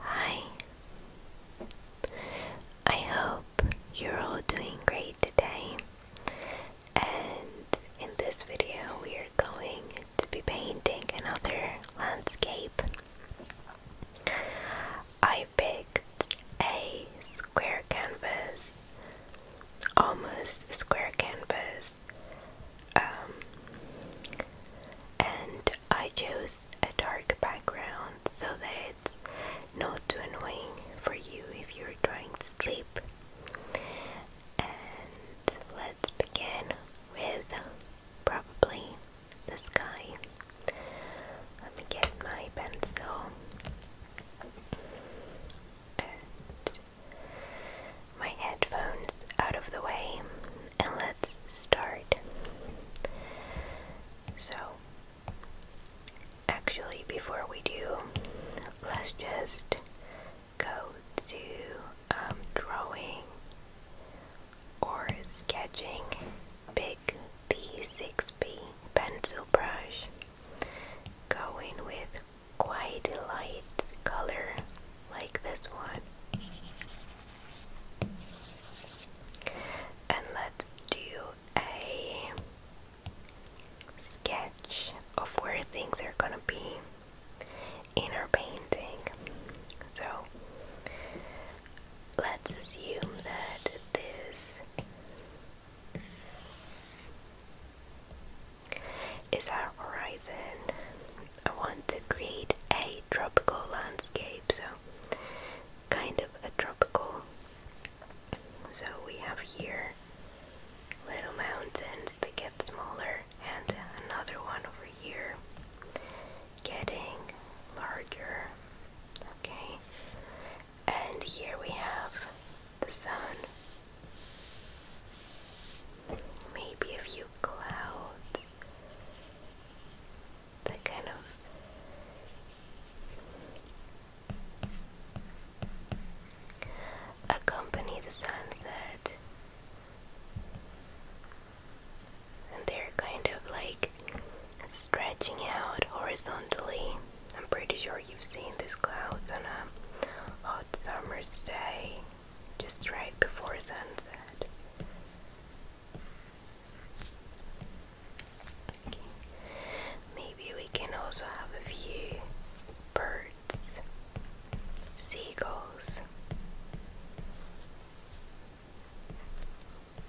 Hi. I hope you're all doing great today. And in this video, we are going to be painting another landscape. I picked a square canvas, almost square canvas. Um, and I chose a dark background so that it's not too annoying for you if you're trying to sleep. And let's begin with probably the sky. Let me get my pencil and my headphones out of the way and let's start. So, actually, before we do, let's just go to um, drawing or sketching. Pick the 6B pencil brush. Go in with quite a light color like this one. And let's do a sketch of where things are gonna be in our painting. So let's assume that this is our horizon I want to create a tropical landscape, so kind of a tropical. So we have here little mountains that get smaller, and another one over here getting larger. Okay, and here we have the sun, maybe a few clouds that kind of accompany the sunset. And they're kind of like stretching out horizontally. I'm pretty sure you've seen these clouds on a hot summer's day, just right before sunset. Maybe we can also have a few birds, seagulls,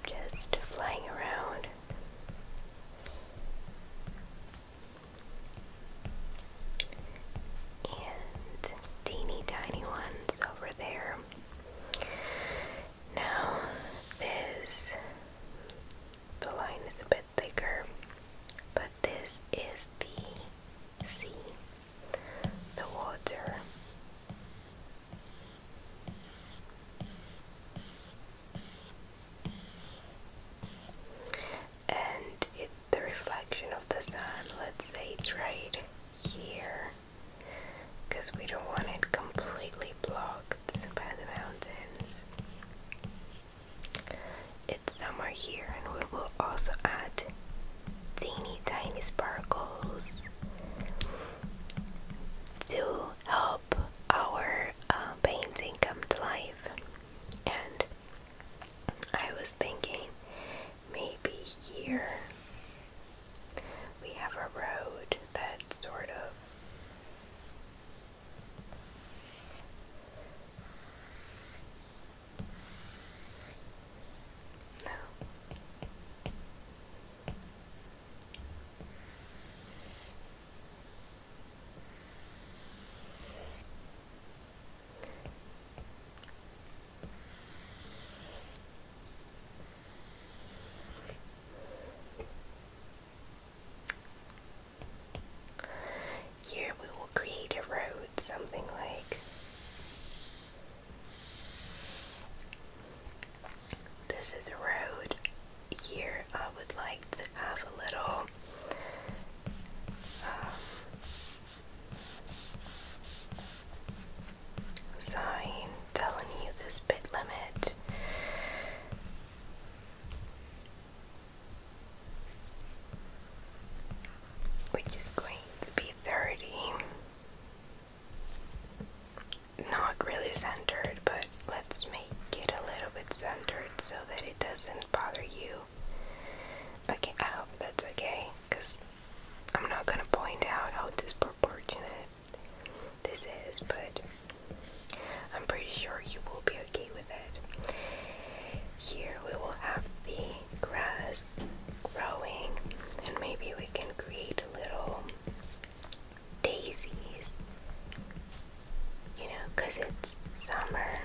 just flying around. And teeny tiny ones over there. Now, this, the line is a bit thicker, but this is the sea, the water. And it, the reflection of the sun, let's say it's right here because we don't want it completely blocked by the mountains. It's summer here, and we will also add teeny tiny sparkles to help our uh, painting come to life. And I was thinking maybe here. We have a road that sort of no. Here we will create a road, something like this is a road. Here I would like to have a little um, sign telling you this bit limit. Which is going to be 30. Not really centered, but let's make it a little bit centered so that it doesn't bother you. Okay, I hope that's okay because I'm not gonna point out how this disproportionate this is, but I'm pretty sure you will be okay with it. Here we will have the grass growing, and maybe we can create little daisies, you know, because it's summer.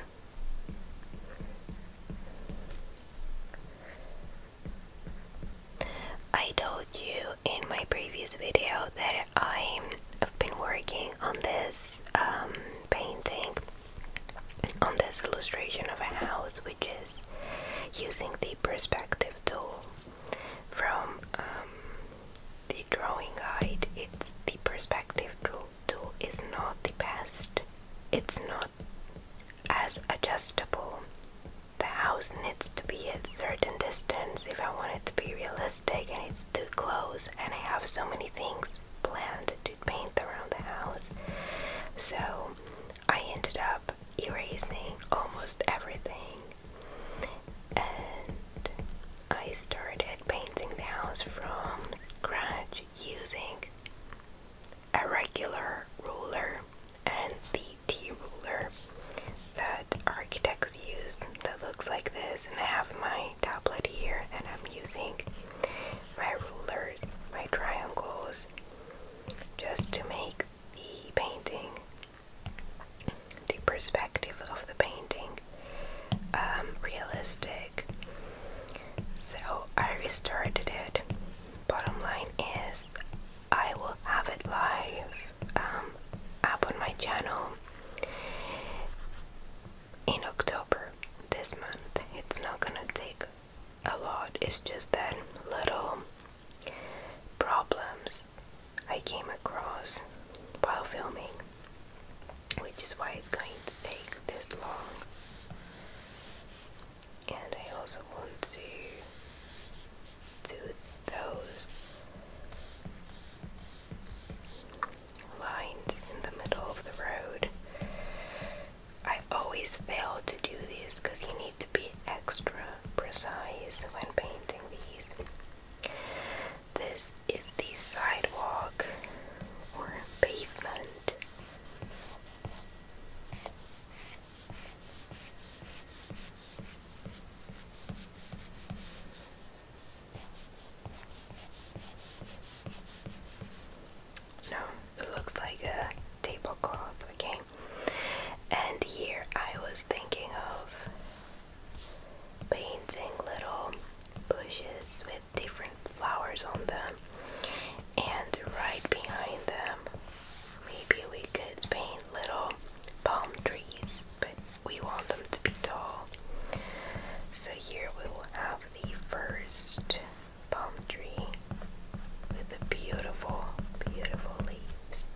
I told you in my previous video that I have been working on this um, painting, on this illustration of a house, which is using the perspective tool from um, the drawing guide. It's the perspective tool, tool is not the best, it's not as adjustable the house needs to be at certain distance if I want it to be realistic and it's too close and I have so many things planned to paint around the house. So I ended up erasing almost everything and I started painting the house from scratch using a regular ruler and the DT ruler that architects use that looks like this. And I have my tablet here, and I'm using my rulers, my triangles, just to make the painting, the perspective of the painting, um, realistic. So I restarted it. Bottom line is, I will have it live um, up on my channel in October this month. It's not gonna take a lot, it's just that little problems I came across while filming, which is why it's going to take this long and I also want to do those lines in the middle of the road. I always fail to do these because you need to be extra precise when painting these. This is the sidewalk or pavement. No, it looks like a tablecloth, okay? And here I was thinking of painting little bushes with different flowers on them, and right behind them Maybe we could paint little palm trees, but we want them to be tall. So here we will have the first palm tree with the beautiful, beautiful leaves.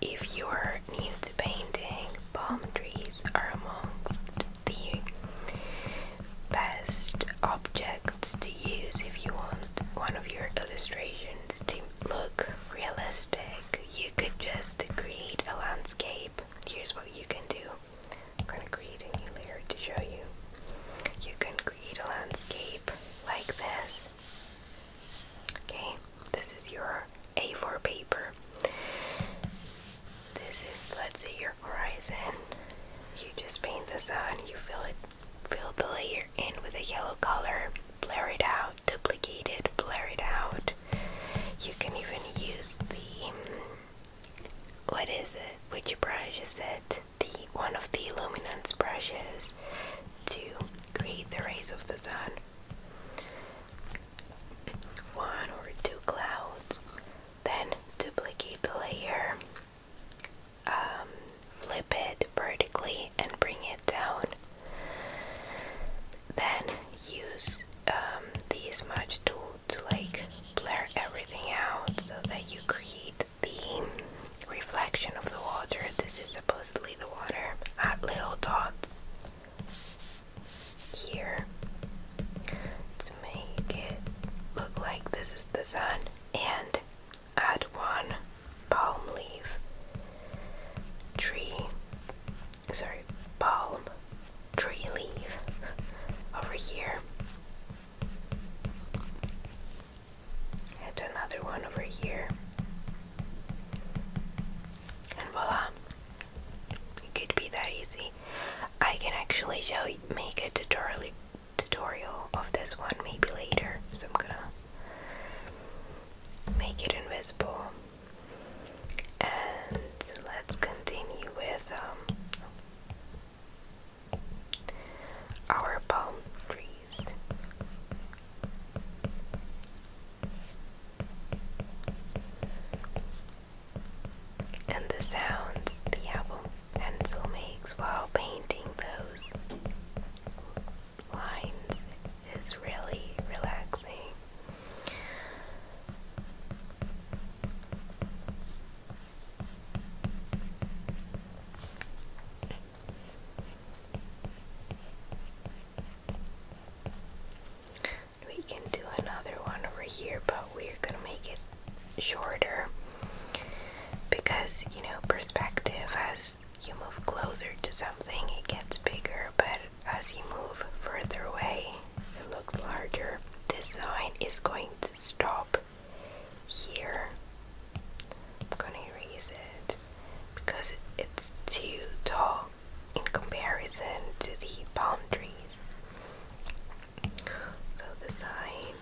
If you're new to painting, palm trees are amongst the best objects to use if you want one of your illustrations to look realistic. You could just create a landscape. Here's what you can do. I'm gonna create a new layer to show you. You can create a landscape like this. Okay, this is your A4 paper. This is, let's see here horizon. You just paint the sun, you fill it fill the layer in with a yellow color, blur it out, duplicate it, blur it out. You can even use the what is it? Which brush is it? The one of the luminance brushes to create the rays of the sun. One or two clouds. Then duplicate the layer, um, flip it vertically, and bring it down. Then use um, the smudge tool to like blur everything out so that you create the reflection of the water. This is supposedly the water. at little dots here to make it look like this is the sun and add one palm leaf tree sorry palm tree leaf over here add another one over here and voila it could be that easy I can actually show you, make a tutorial tutorial of this one maybe later, so I'm gonna make it invisible. And let's continue with um, our palm freeze and the sounds the album pencil makes while painting those lines is really relaxing. We can do another one over here, but we're gonna make it shorter because you know perspective as you move closer to something it gets bigger but as you move further away it looks larger this sign is going to stop here I'm gonna erase it because it's too tall in comparison to the palm trees so the sign,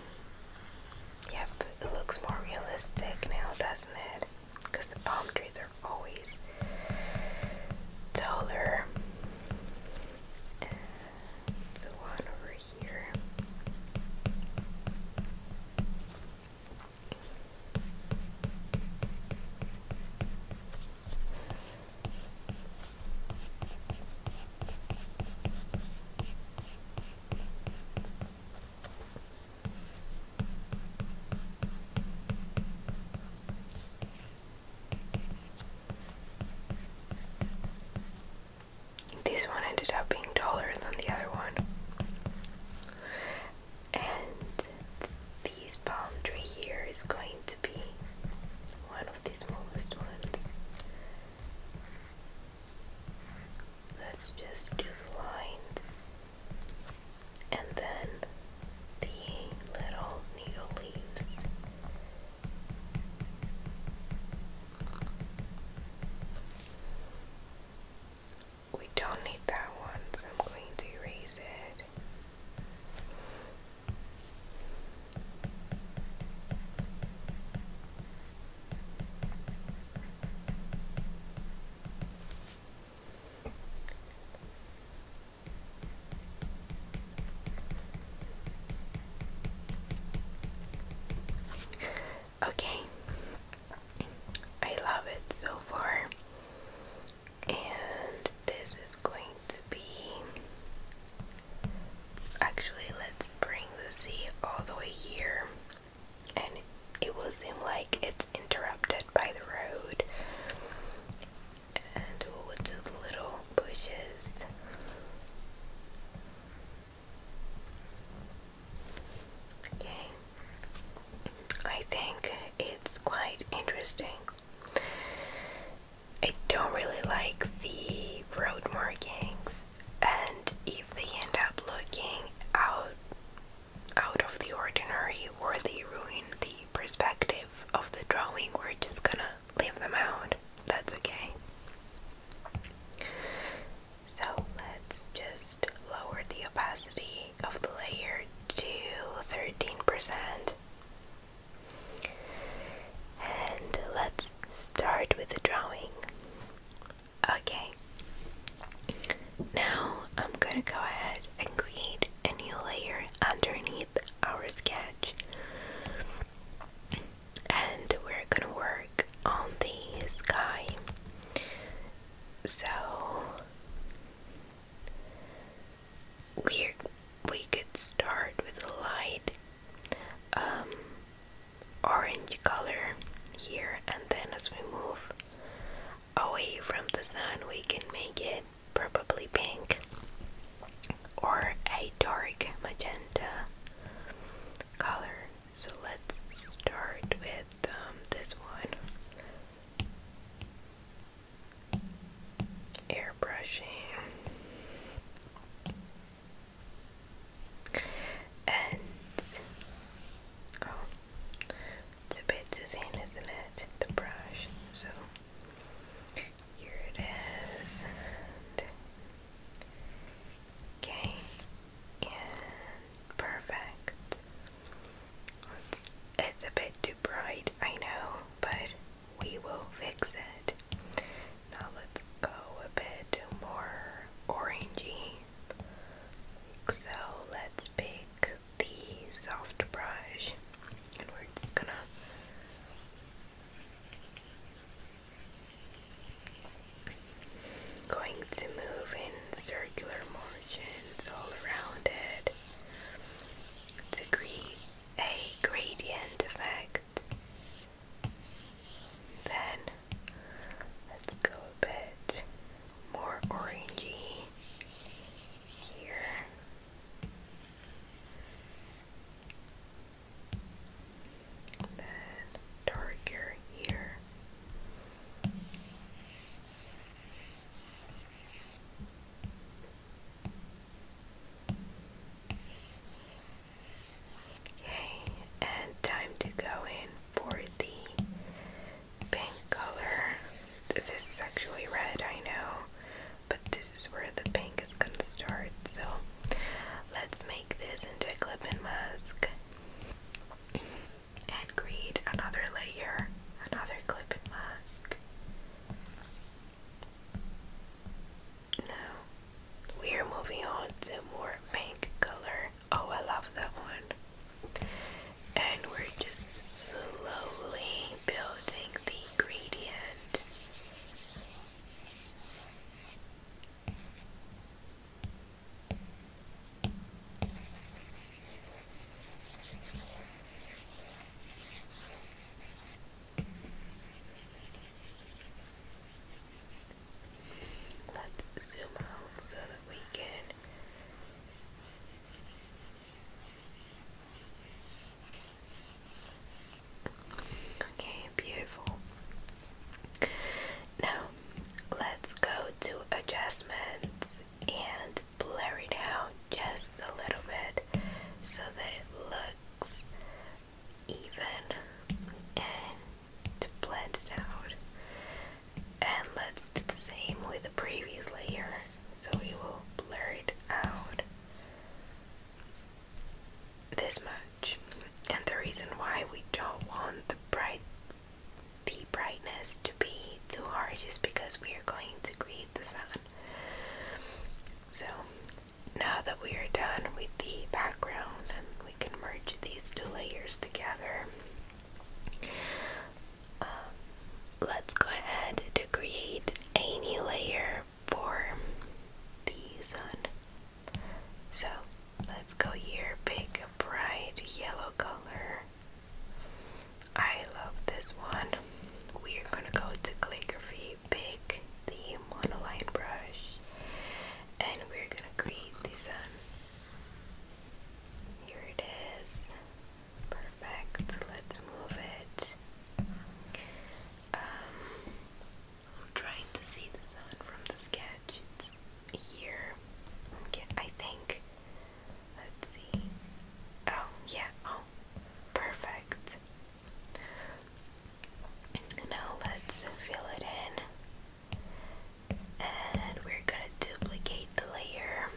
yep, it looks more realistic now, doesn't it? Because the palm trees are always taller. And the one over here. This one ended up being taller than the other one. And this palm tree here is going to be one of the smallest ones. Let's just do the lines and then the little needle leaves. We don't need that one, so I'm going to erase it. Okay, I love it so far, and this is going to be Actually, let's bring the Z all the way here, and it will seem like it's interrupted by the road. And we'll do the little bushes. Okay, I think it's quite interesting. I don't really like the road markings and if they end up looking out out of the ordinary or they ruin the perspective of the drawing we're just gonna leave them out. That's okay. So let's just lower the opacity of the layer to 13%. And let's start with the drawing. Okay, now I'm gonna go ahead and create a new layer underneath our sketch, and we're gonna work on the sky. So we we could start with a light. Um, orange color here and then as we move away from the sun we can make it probably pink or a dark magenta color so let's start with um, this one airbrushing and oh, it's a bit too thin, isn't it? The brush, so here it is. okay, and perfect. It's, it's a bit too bright, I know, but we will fix it. Now let's go a bit more orangey. So let's pick the soft brush and we're just gonna going to move in circular motions all around it to create a gradient effect then let's go a bit more orangey here. And then darker here. Okay, and time to go in for the pink color. This is actually red, I know, but this is where the pink is gonna start. So let's make this into a clip and mask and create another layer, another clip and mask. No, we're moving on to more pink color. Oh, I love that one. And we're just slowly building the gradient. Let's zoom out so that we can Okay, beautiful. Now let's go to adjustments and blur it out just a little bit so that it looks even to blend it out. And let's do the same with the previous layer. So we will blur it out this much. And the reason why we don't want the bright the brightness to be too hard is because we are going to create the sun. So now that we are done with the background and we can merge these two layers together, um, let's go ahead to create a new layer for the sun. So let's go here, pick a bright yellow color. I love this one. We are gonna go to calligraphy, pick the monoline brush, and we're gonna create the sun. Here it is. Perfect. Let's move it. Um, I'm trying to see the sun from the sketch. It's here. Okay, I think. Let's see. Oh, yeah. Oh, perfect. Now let's fill it in. And we're gonna duplicate the layer.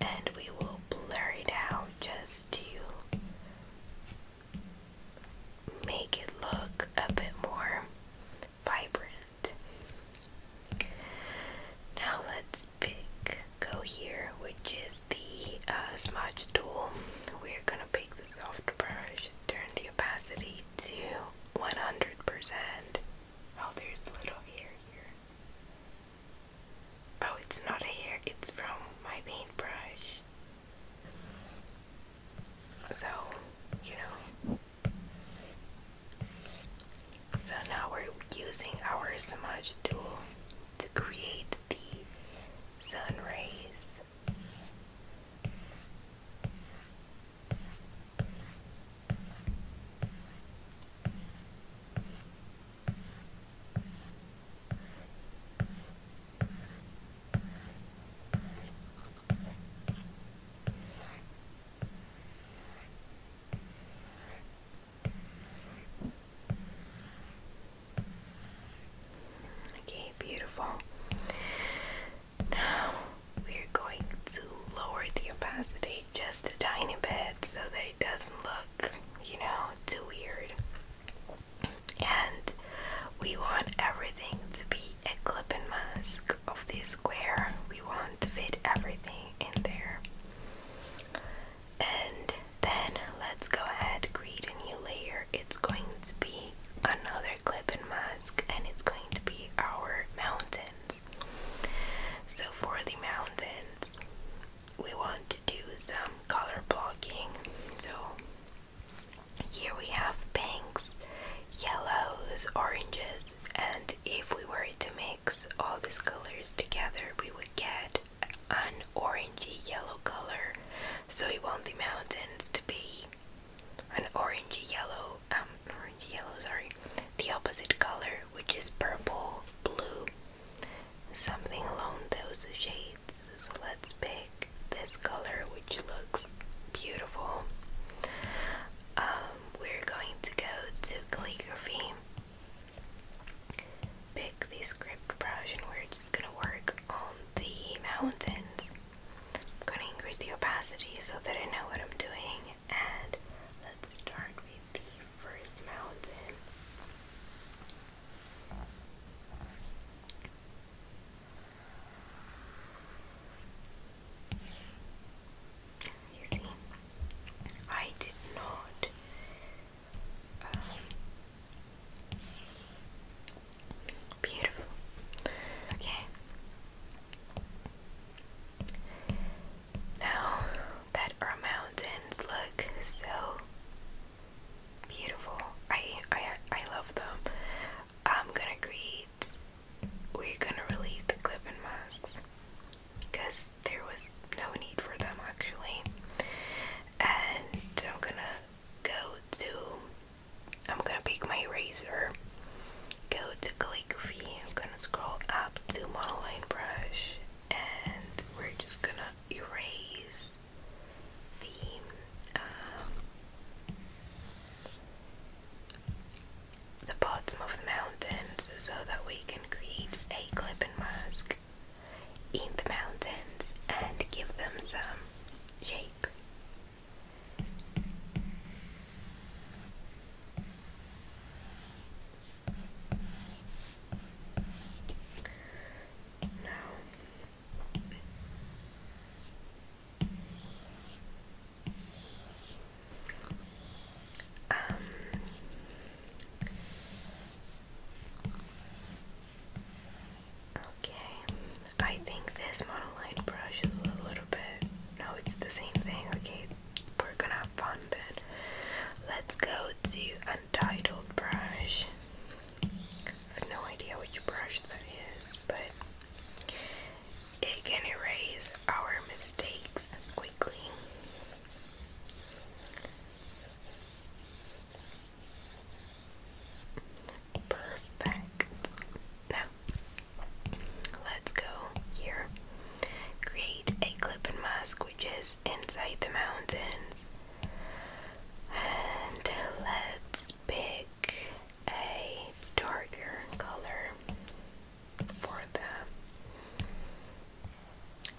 And we will blur it out just to make it look a bit more vibrant. Now let's pick, go here, which is the uh, smudge tool. We're gonna pick the soft brush turn the opacity to 100%. Oh, there's a little hair here. Oh, it's not a hair, it's from my paintbrush. So, you know. So now we're using our smudge tool to create the sun rays. Okay, beautiful. Now we're going to lower the opacity just a tiny bit so that it doesn't look, you know, too weird. And we want everything to be a clip and mask of this square. We want to fit everything in there. And then let's go ahead and create a new layer. It's going to be another another clip and mask, and it's going to be our mountains. So, for the mountains, we want to do some color blocking. So, here we have pinks, yellows, oranges, and if we were to mix all these colors together, we would get an orangey yellow color. So, we want the mountains to be an orangey yellow, um, yellow, sorry, the opposite color, which is purple, blue, something along those shades. So let's pick this color, which looks beautiful. Um, we're going to go to calligraphy, pick the script brush, and we're just gonna work on the mountains. I'm gonna increase the opacity so that I know what I'm doing. And let's start with the first mountain. You see, I did not um, Beautiful. Okay. Now that our mountains look so beautiful, I I I love them. I'm gonna create. We're gonna release the clip masks because there was no need for them actually, and I'm gonna go to I'm gonna pick my eraser, go to calligraphy, I'm gonna scroll up to monoline brush, and we're just gonna erase the um, the bottom of the mountain so that we can create a clip and mask in the mountains and give them some shape. Now, um, Okay, I think this monoline brush is a little bit. No, it's the same thing. Okay, we're gonna have fun then. Let's go to Untitled Brush. I have no idea which brush that is, but it can erase our mistakes quickly. Perfect. Now, let's go here. Create a clip mask which is inside the mountains. And let's pick a darker color for them.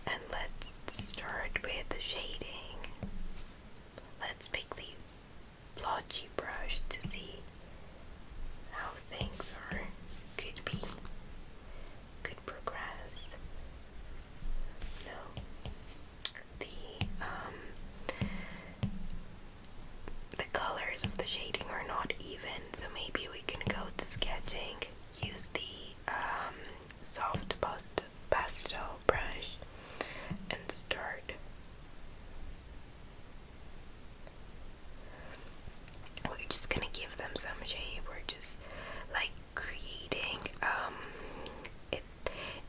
And let's start with the shading. Let's pick the blotchy brush to see how things are could be could progress. No. The um the colors of the shading are not even, so maybe we can go to sketching, use the um soft pastel brush and start we're just gonna give them some shape. We're just like creating. Um, it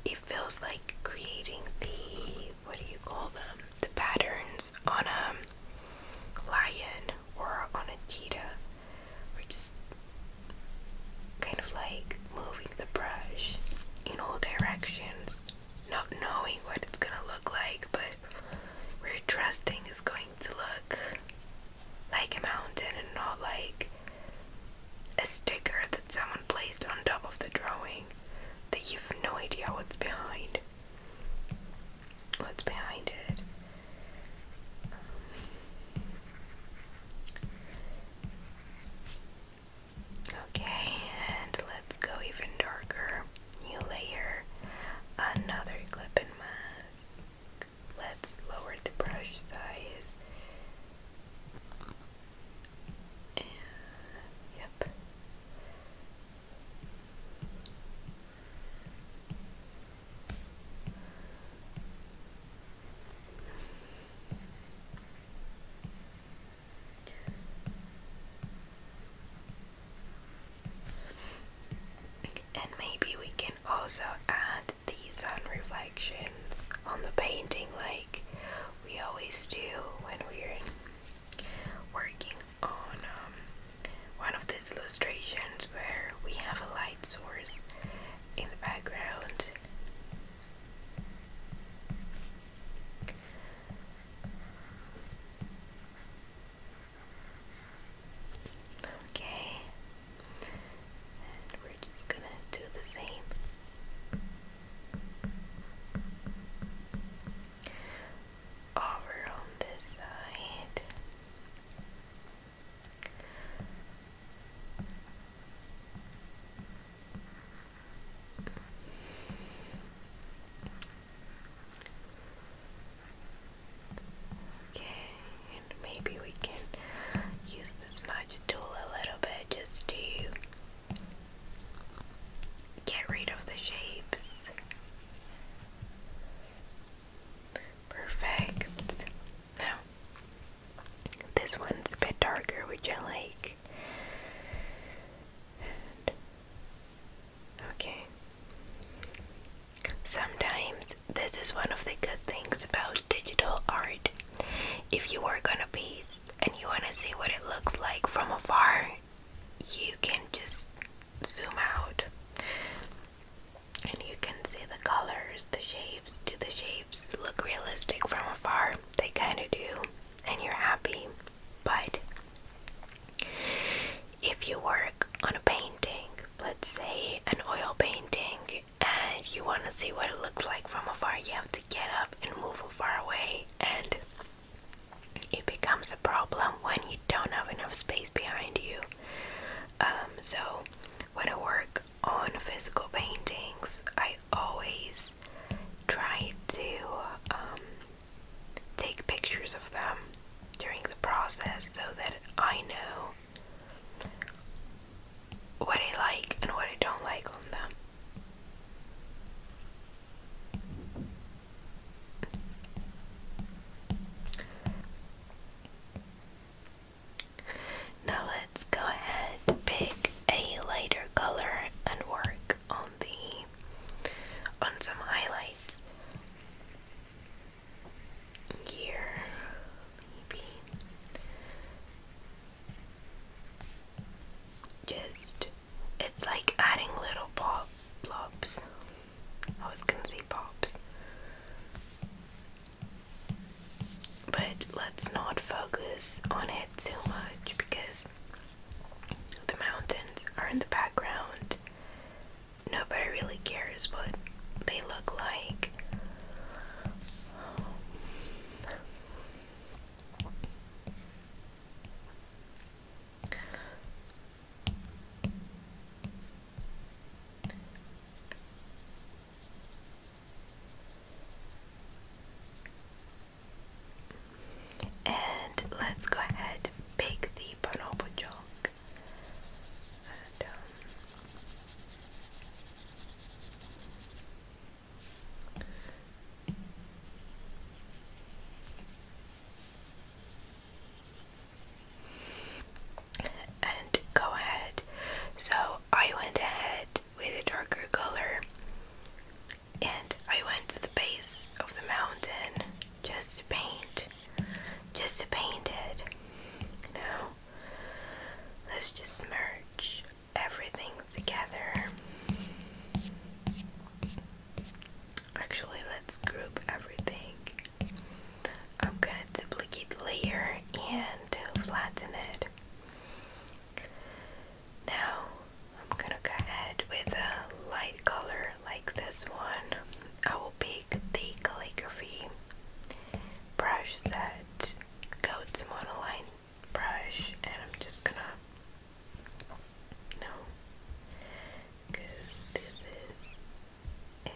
it feels like creating the what do you call them? The patterns on a lion or on a cheetah. We're just kind of like moving the brush in all directions not knowing what it's gonna look like, but we're trusting it's going to look like a mountain and not like a sticker that someone placed on top of the drawing that you've no idea what's behind. What's behind it? Um, Okay, and let's go even darker. You layer another clip in mask. Let's lower the brush size. yep. And maybe we can also add the sun reflections on the painting like we always do when we're working on um, one of these illustrations where we have a light source in the background. Okay, and we're just gonna do the same. Over on this side. Okay, maybe we can use the smudge tool a little bit just to get rid of the shapes. Perfect. Now, this one's a bit darker, Would you like okay. Sometimes this is one of the good things about digital art. If you work on a piece and you want to see what it looks like from afar, you can just zoom out and you can see the colors, the shapes. Do the shapes look realistic from afar? They kind of do and you're happy. But if you work on a painting, let's say an oil painting, and you want to see what it looks like from afar, you have to get up and move far away, and it becomes a problem when you don't have enough space behind you. Um, so, when I work on physical paintings, I always try to um, take pictures of them during the process so that I know what I like and what I don't like on them. Now let's go ahead, pick a lighter color and work on on some highlights here maybe just it's like adding little pop blobs. I was gonna say pops. But let's not focus on it too much because the mountains are in the background. Nobody really cares what they look like. And let's go ahead pick the bonobo junk. Um, and go ahead. So I went ahead with a darker color and I went to the base of the mountain just to paint, just to paint it. Now, let's just merge everything together. Actually, let's group everything. I'm gonna duplicate layer and flatten it. Now I'm gonna go ahead with a light color like this one. I will pick the calligraphy brush set, go to monoline brush, and I'm just gonna no, because this is it,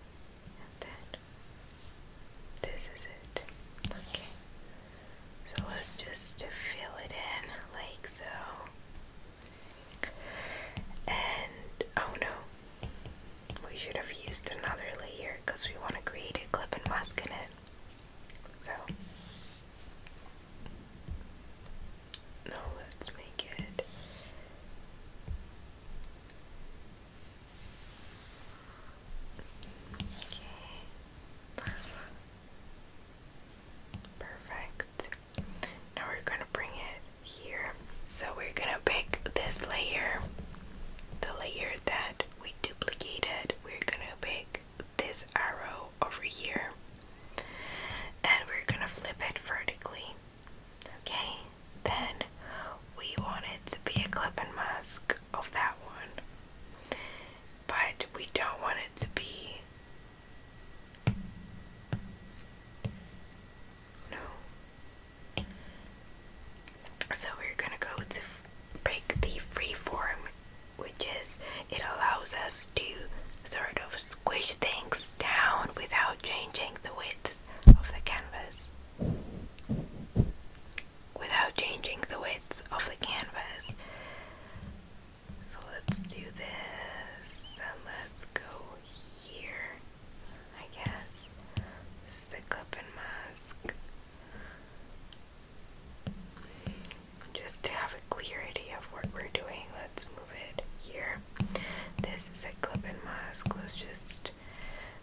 and then this is it. Okay. So let's just fill it in like so. And oh no, we should have used another layer because we want to create a clip and mask in it. So now let's make it. Okay. Perfect. Now we're gonna bring it here. So we're gonna pick this layer, the layer that we duplicated. We're gonna pick this arrow over here and we're gonna flip it vertically. Okay, then we want it to be a clipping mask of that one, but we don't want it to be no. So we're gonna go to break the free form, which is it allows us to sort of squish things down without changing the width of the canvas. Without changing the width of the canvas. So let's do this, and let's go here, I guess. This is the clip and mask. Just to have a clear idea of what we're doing, let's move it here. This is a clip and mask. Let's just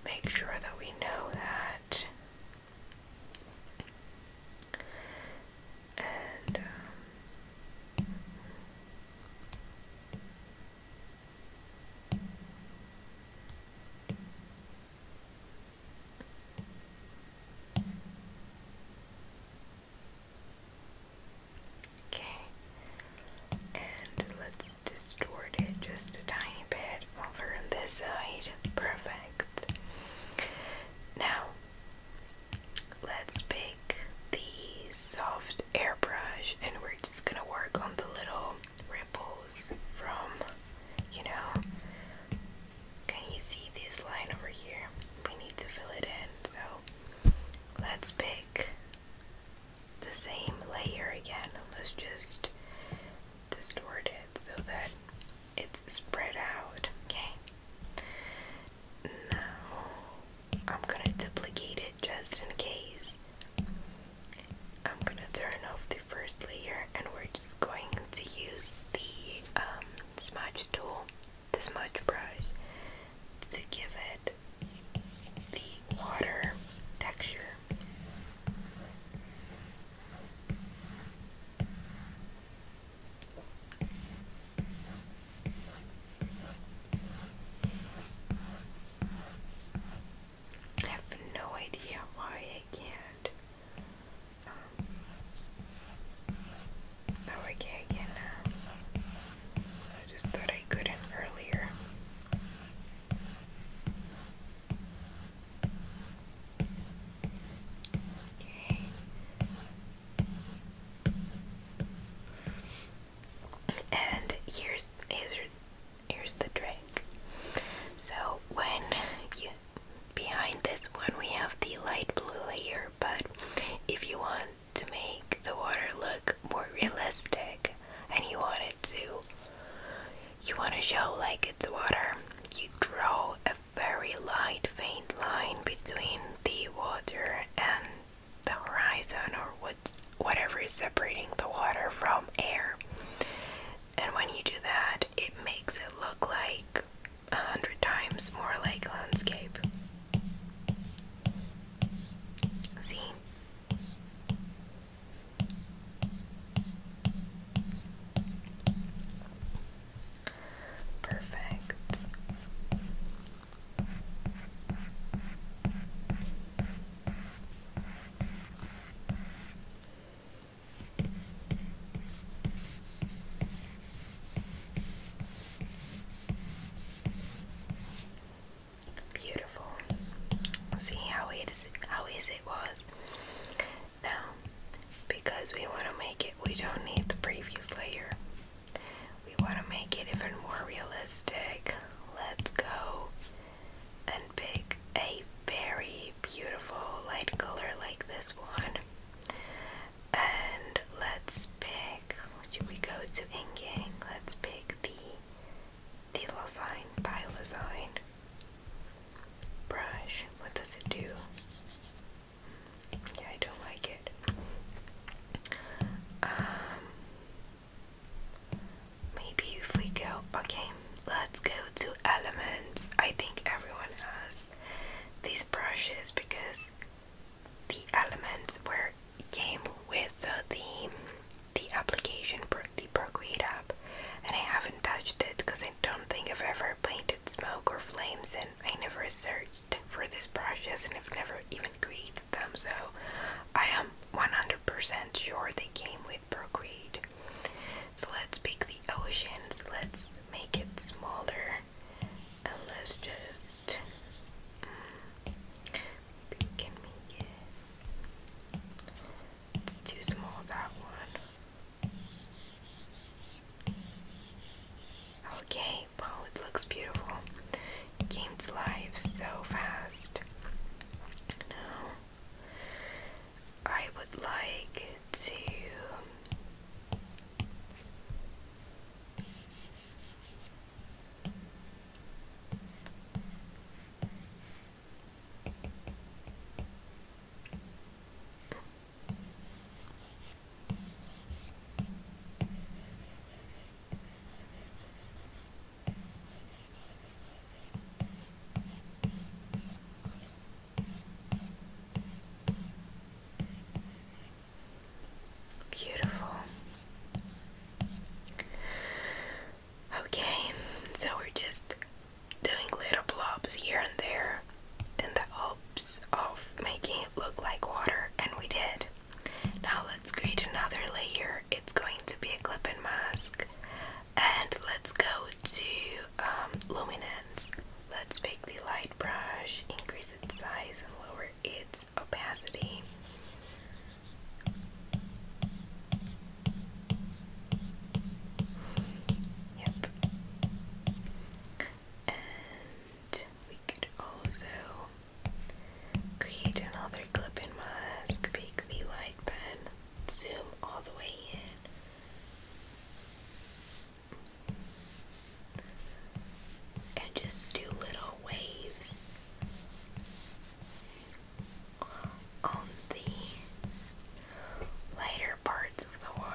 make sure that we know that and um, Okay, and let's distort it just a tiny bit over on this side. Perfect. Now, Let's pick the soft airbrush and we're just gonna work on the little ripples from, you know, can you see this line over here? We need to fill it in. So let's pick the same layer again. Let's just distort it so that it's spread out. Okay now I'm gonna duplicate it just in case. I'm gonna turn off the first layer and we're just going to use the um, smudge tool, the smudge brush, to give it the water texture. I have no idea why I can't. Um, oh, I can't again now. I just thought I couldn't earlier. Okay, and here's here's, here's the trick. So when you behind this one we have the light blue layer, but if you want to make the water look more realistic and you want it to you want to show like it's water, you draw a very light, faint line between the water and the horizon, or what's, whatever is separating the water from air. And when you do that, it makes it look like a hundred times more like landscape. See? Perfect. Beautiful. See how it is how easy it was. Now, because we want to make it, we don't need the previous layer. We want to make it even more realistic. Let's go and pick a very beautiful light color like this one. And let's pick, should we go to inking? Let's pick the Thylosine, Thylosine brush. What does it do? Yeah, I don't like it. Um, maybe if we go, okay, let's go to elements. I think everyone has these brushes because the elements were came with the the application, the Procreate app, and I haven't touched it because I don't think I've ever played smoke or flames, and I never searched for this process and have never even created them, so I am 100% sure they came with Procreate. So let's pick the oceans, let's make it smaller, and let's just mm, It's too small, that one. Okay, well, it looks beautiful. It came to life so fast. Now, I would like to. Beautiful. Okay, so we're just doing little blobs here and there in the of making it look like water, and we did. Now let's create another layer. It's going to be a clip and mask. And let's go to um, luminance. Let's pick the light brush, increase its size, and lower its opacity. Yep and we could also create another clip mask, pick the light pen, zoom all the way in, and just do little waves on the lighter parts of the water.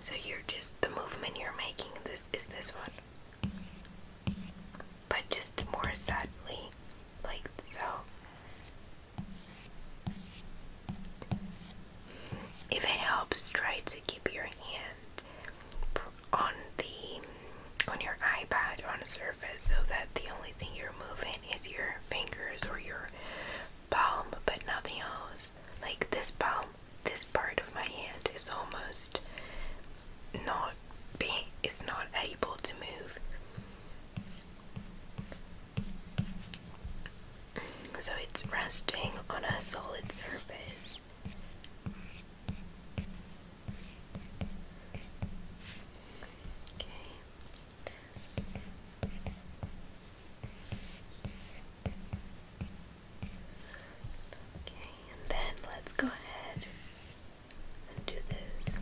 So you're just the movement you're making this is this one. But just more subtly, like so. If it helps, try to keep your hand on the on your iPad on a surface so that the only thing you're moving is your fingers or your palm but nothing else. Like this palm, this part of my hand is almost not being is not able to move. So it's resting on a solid surface. Okay. Okay, and then let's go ahead and do this.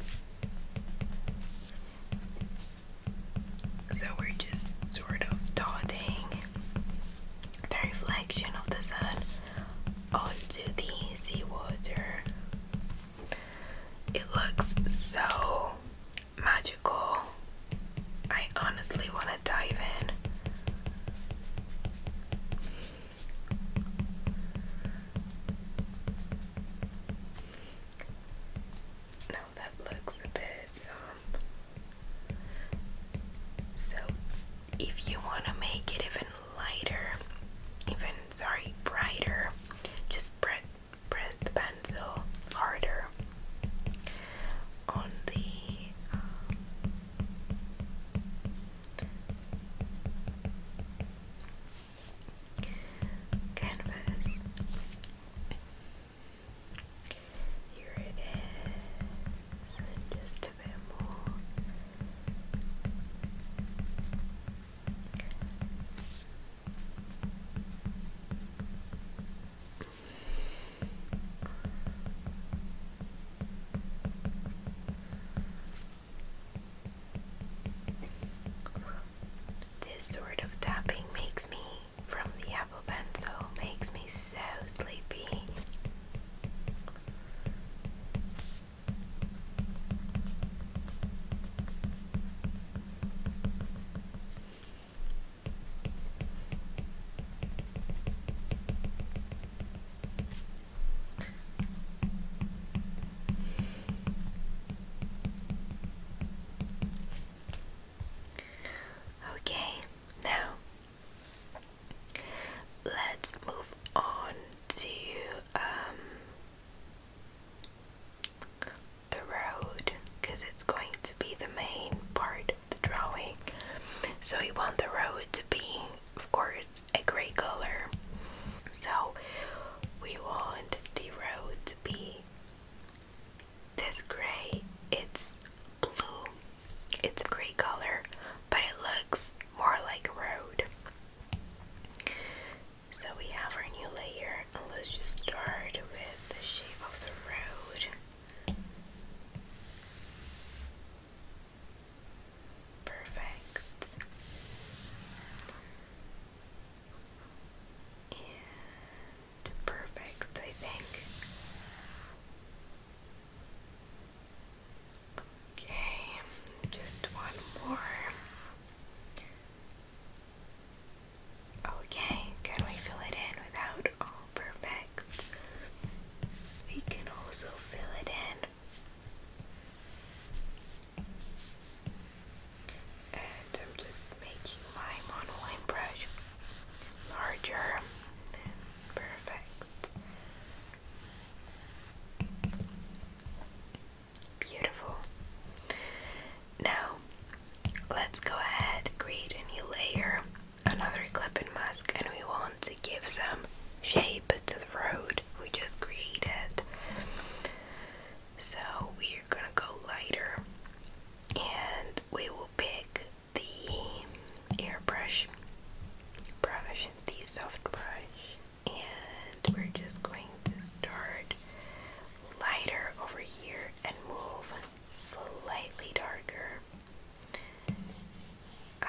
So we're just sort of dotting the reflection of the sun onto the seawater. It looks so magical. I honestly want to dive in. Now that looks a bit, um, so if you want to make it even lighter, even, sorry, brighter, just pre press the pencil harder on the um, canvas. Here it is, just a bit more. This sort of tapping makes me from the Apple Pencil makes me so sleepy. Okay, now let's move on to um, the road because it's going to be the main part drawing. So we want the road to be, of course, a gray color. So we want the road to be this gray. It's blue. It's a gray color, but it looks more like a road. So we have our new layer, and let's just start with the shape of the road. Perfect. And perfect, I think. Okay, just one more. Okay, can we fill it in without perfect. We can also fill it in. And I'm just making my monoline brush larger perfect. Beautiful. Now, let's go ahead create a new layer another clip and mask and we want to give some shape to the road we just created. So we're gonna go lighter and we will pick the airbrush brush, the soft brush, and we're just going to start lighter over here and move slightly darker uh,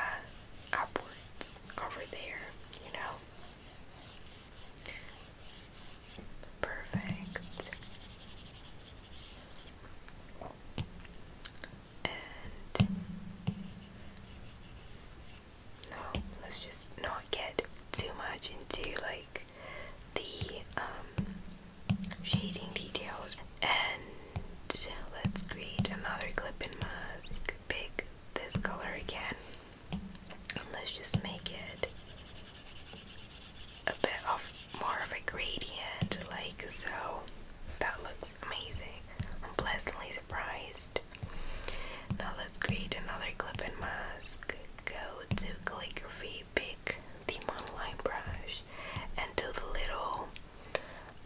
upwards over there, you know. Perfect. And no, let's just not get too much into like the um, shading details. And let's create another clip and mask. Pick this color again. And let's just make it a bit of more of a gradient, like so. That looks amazing. I'm pleasantly surprised. Now let's create another clip and mask. Go to calligraphy, pick the monoline brush and to the little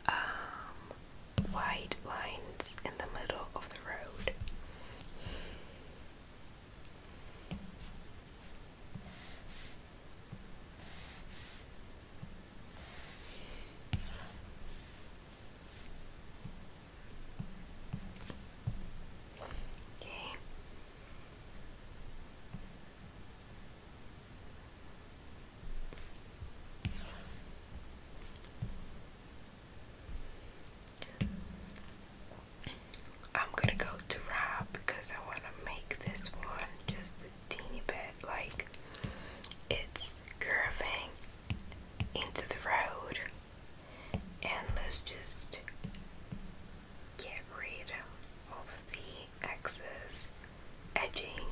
um, white lines in the middle of the road. Okay. I'm gonna go to Rob because I want to make this one just a teeny bit like it's curving into the road, and let's just get rid of the excess edging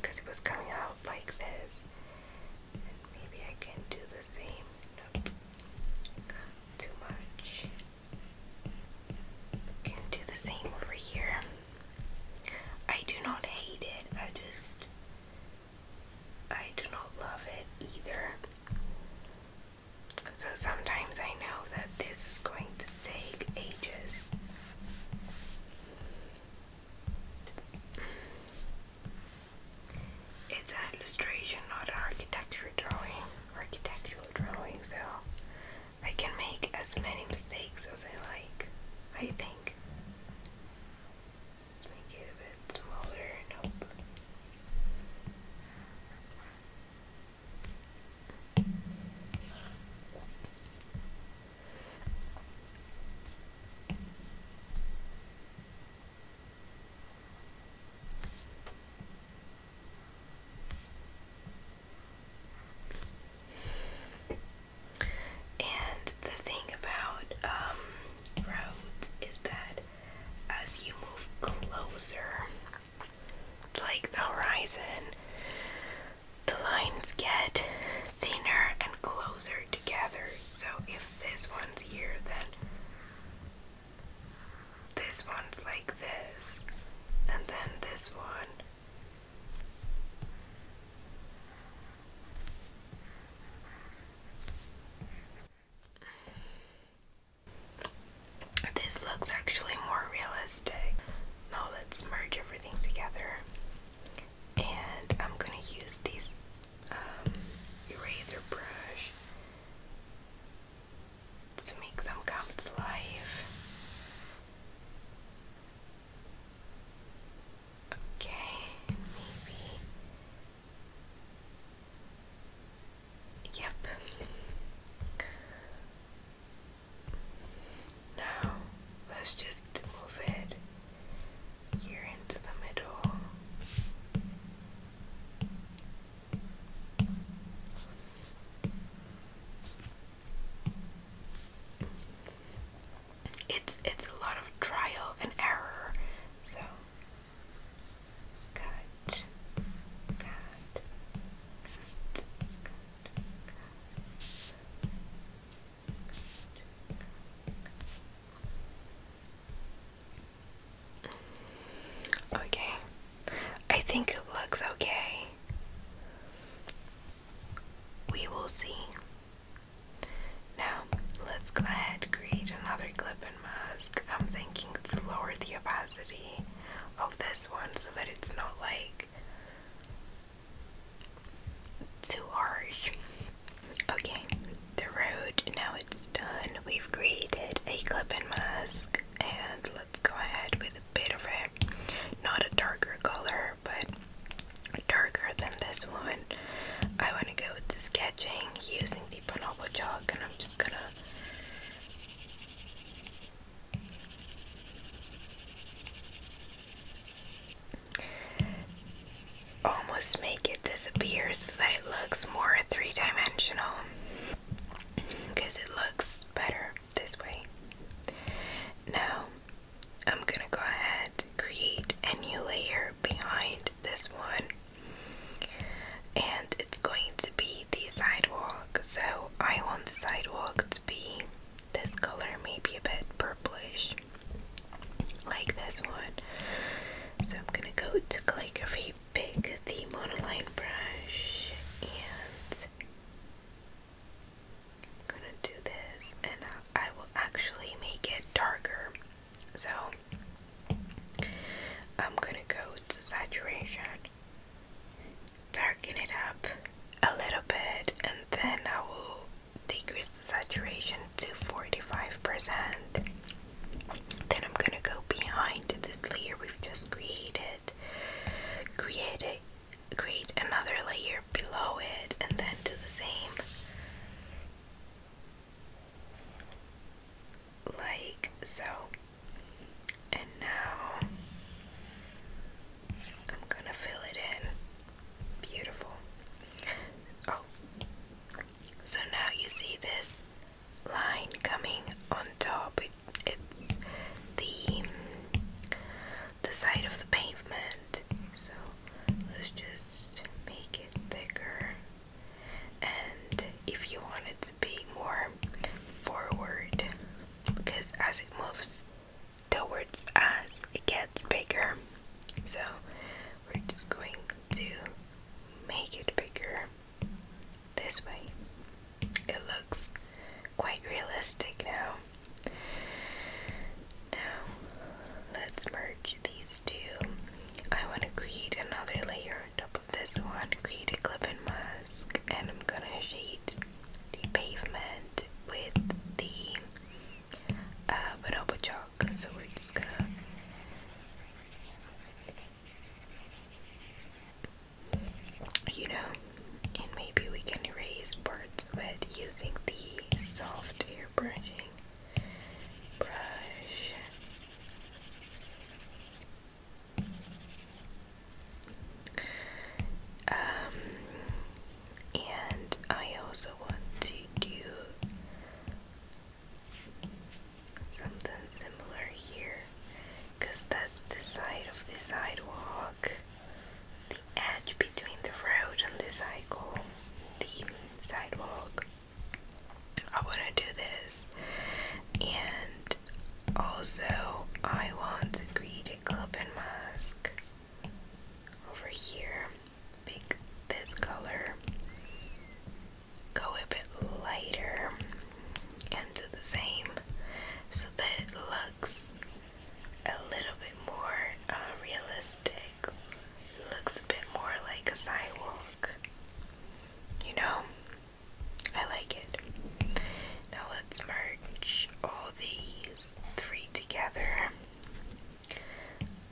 because it was coming out like this. maybe I can do the same. Too much. Can do the same over here. I do not hate it. I just I do not love it either. So sometimes I know that this is going to take ages it's an illustration, not an architecture drawing, architectural drawing, so I can make as many mistakes as I like, I think. Let's make it a bit smaller, nope. And the thing about um, roads is that as you move closer, like the horizon, the lines get thinner and closer together. So if this one's here, then this one's like this, and then this one. This looks actually more realistic now let's merge everything together and I'm gonna use this um, eraser brush to make them come to life. Okay, maybe. Yep. Now let's just move it here into the middle. It's it's a lot of trial and error. So cut, cut, cut, cut. Okay, I think it looks okay. We will see. Now, let's go ahead create another clip and mask. I'm thinking to lower the opacity of this one so that it's not like too harsh. Okay, the road, now it's done. We've created a clip and mask, and let's go ahead with a bit of it. Not a darker color, but darker than this one. I want to go to sketching using the bonobo chalk, and I'm just gonna Almost make it disappear so that it looks more three dimensional because it looks better this way. Now I'm gonna go ahead create a new layer behind this one and it's going to be the sidewalk so I want the sidewalk be this color, maybe a bit purplish, like this one. So I'm gonna go to calligraphy, pick the monoline brush, and I'm gonna do this, and I will actually make it darker. So I'm gonna go to saturation darken it up a little bit and then I will decrease the saturation to 45%. Then I'm gonna go behind this layer we've just created, create a, create another layer below it, and then do the same. Like so. And now I'm gonna fill it in. Beautiful. Oh, so now you see this line coming on top. it's the the side of the pavement. So let's just make it thicker. And if you want it to be more forward, because as it moves, towards as it gets bigger. So we're just going to make it bigger this way. It looks quite realistic now. Now let's merge these two. I want to create another layer on top of this one, create a clip and mask, and I'm gonna shade the pavement with the uh, chalk. So we're just gonna you know, and maybe we can erase parts of using the soft air brush. Um, and I also want to do something similar here because that's the side of the sidewalk, the edge between the road and the cycle, the sidewalk. I want to do this, and also I want to create a clip and mask over here, pick this color, go a bit lighter, and do the same so that it looks a little bit more uh, realistic. looks a bit more like a sidewalk. You know, I like it. Now let's merge all these three together.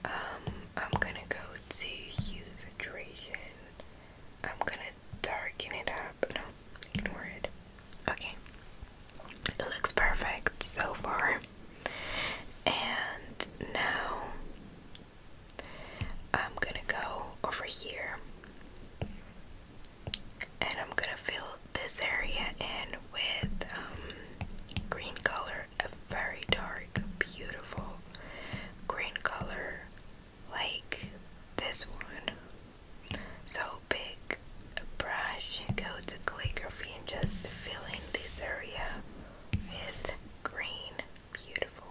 Um, I'm gonna go to hue I'm gonna darken it up. No, ignore it. Okay, it looks perfect so far. And now I'm gonna go over here and I'm gonna fill this area in with um, green color, a very dark, beautiful green color like this one. So pick a brush, go to calligraphy and just fill in this area with green, beautiful.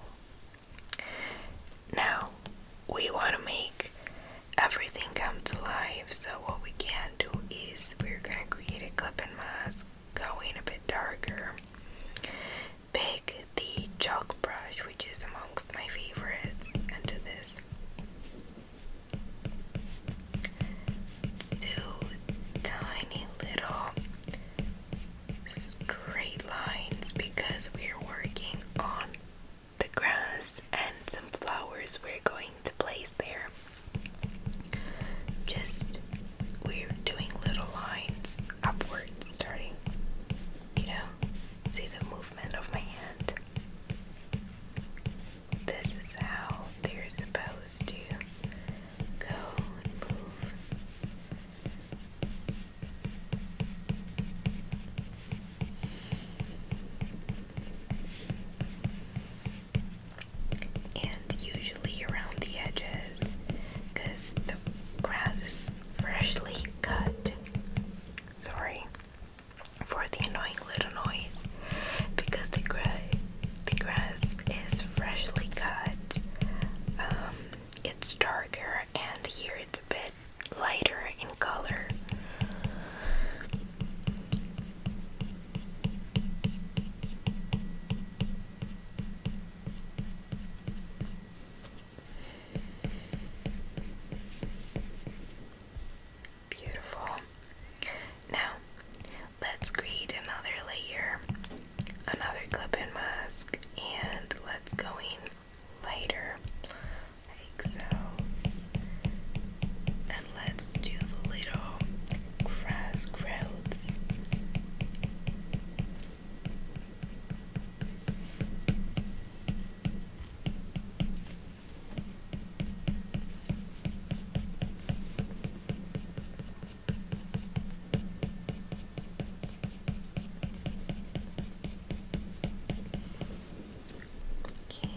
Now we want to make everything comes to life. So what we can do is we're gonna create a clip and mask, going a bit darker, pick the chalk brush, which is amongst my favorites, and do this. Two tiny little straight lines because we're working on the grass and some flowers we're going to place there. Just we're doing little lines upwards, starting, you know, see the movement of my hand. This is how they're supposed to go and move and usually around the edges because the grass is freshly cut. Sorry for the annoying little noise because the, gra the grass is freshly cut. Um, it's darker, and here it's a bit lighter in color. Beautiful. Now, let's create another layer, another clip and mask, and let's go in lighter, think so. And let's do the little grass growths. Okay.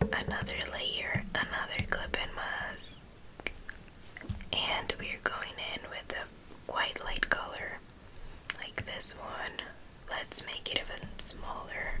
Another layer, another clip and mask, and we're going in with a quite light color like this one. Let's make it even smaller.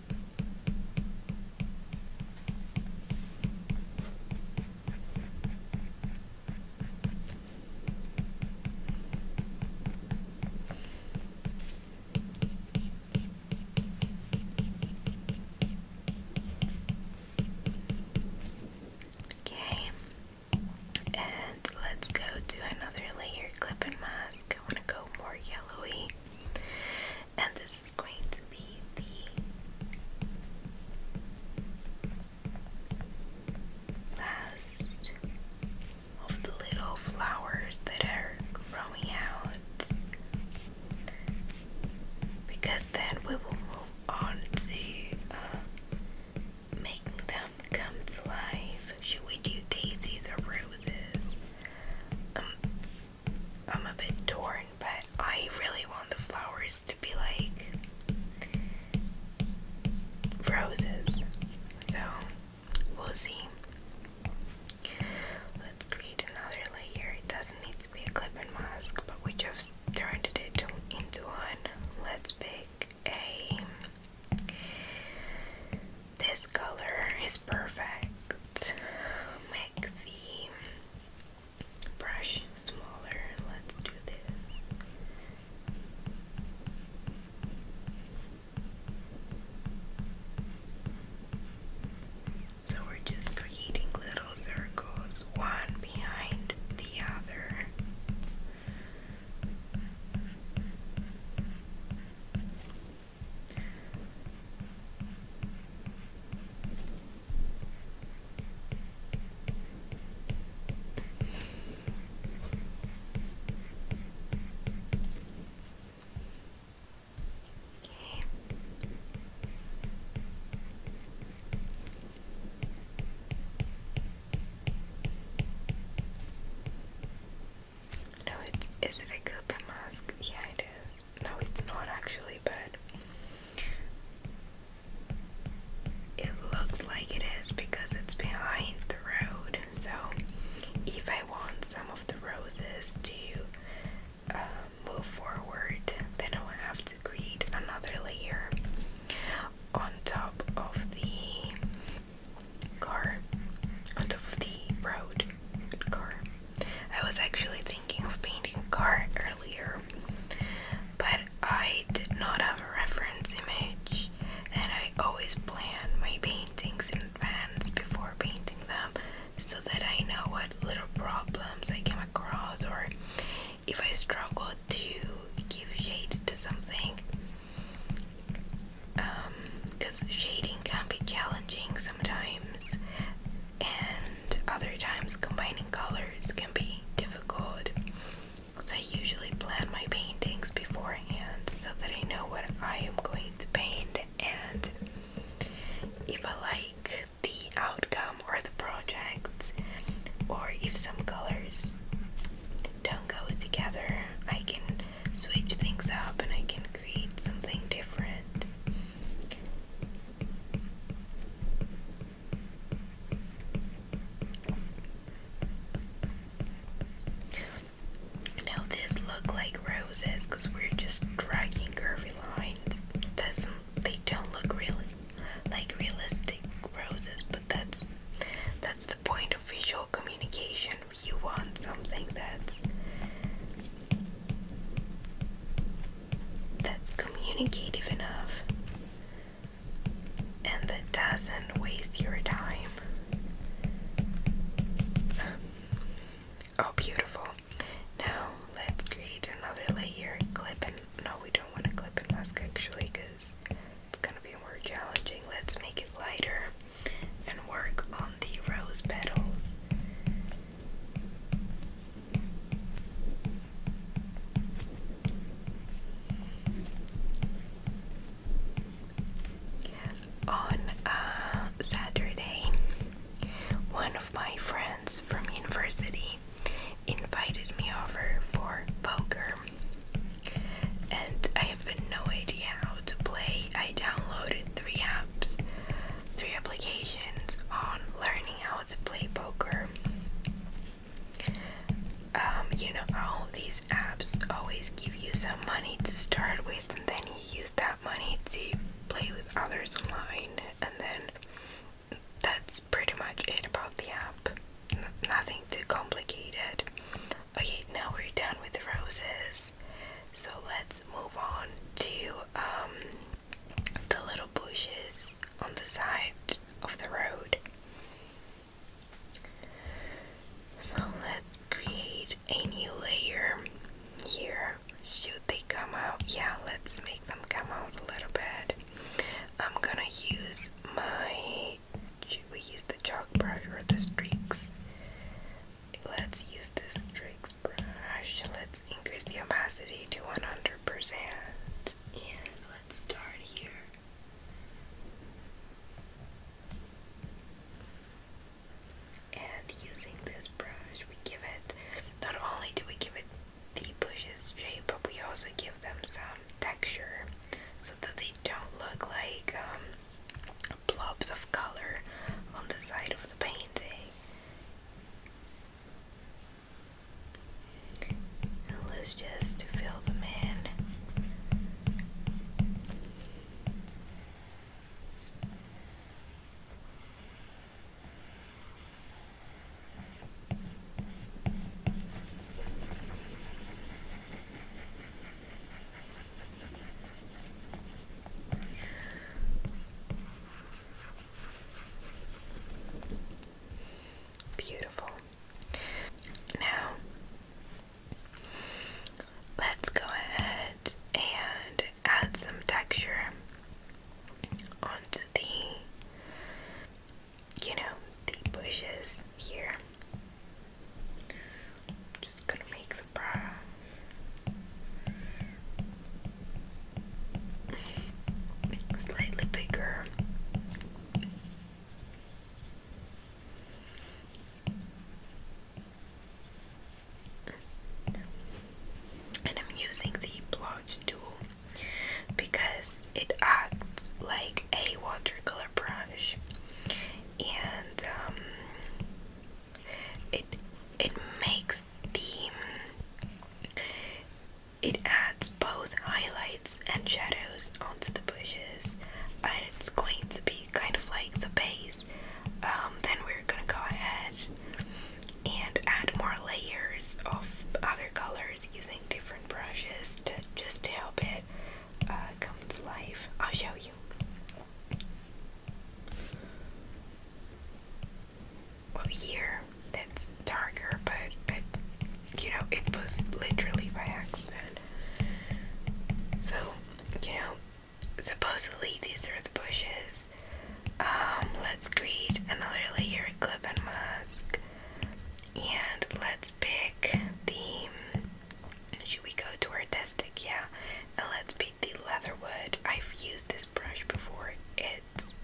Okay, and let's go to another layer clip and mask. I want to go more yellowy and this is going to be the last of the little flowers that are growing out because then we will move on to uh, making them come to life. Should we do daisies or roses? Um, I'm a bit torn, but I really want the flowers to be like roses. So we'll see. Let's create another layer. It doesn't need to be a clip and mask, but we just turned it into one. Let's pick a. This color is perfect. Oh, make the brush smaller. Let's do this. So we're just creating little circles, one behind the other. Okay. No, it's is it a Cooper mask? Yeah, it is. No, it's not actually, but it looks like it is because it's behind the road. So, if I want some of the roses to um, move forward, then I'll have to create another layer on top of the car, on top of the road car. I was actually thinking of painting a car earlier, but I did not have a reference image, and I always plan my paintings in advance before painting them so that I know what little problems I came across or if I struggle to give shade to something. Because um, shading can be challenging sometimes, and other times combining colors can be difficult. So I usually plan my paintings beforehand so that I know what I am going to paint and if I like the outcome or the project or if some colors don't go together, I can switch things up and I can create something different. Now this look like roses because we're just dragging curvy lines. Doesn't they don't look real like realistic roses, but that's that's the point of visual communication. You want something that's that's communicative enough and that doesn't waste your time. Oh, beautiful. Now let's create another layer. Clip and no, we don't want to clip mask actually because it's gonna be more challenging. Let's make it lighter and work on the rose petals on uh, Saturday, one of my friends from university invited me over for poker, and I have no idea how to play. I downloaded three apps three applications on learning how to play poker. Um, you know, all these apps always give you some money to start with, and then you use that money to play with others online, and then that's pretty much it about the app. nothing too complicated. Okay, now we're done with the roses, so let's move on to um, the little bushes on the side of the road. So let's create a new layer here. Should they come out? Yeah, let's make them come out a little bit. I'm gonna use my. Should we use the chalk brush or the streaks? Let's use the streak brush, let's increase the opacity to 100%. And let's start here. And using this brush, we give it, not only do we give it the bushes shape, but we also give them some texture so that they don't look like um, blobs of color on the side of the painting let's just fill them in. Beautiful. Now, let's go ahead and add some texture onto the, you know, the bushes here. Just gonna make the bra slightly bigger. And I'm using the blotch tool because it acts like a watercolor brush and um, it it makes the it adds both highlights and shadows onto the bushes and it's going to be kind of like the base um, then we're gonna go ahead and add more layers of other colors using different brushes to just to help it uh, come to life I'll show you well here it's darker but you know it was literally by accident so you know supposedly these are the bushes um, let's create another layer clip and mask and let's pick the should we go to our yeah and let's pick the leatherwood i've used this brush before. It's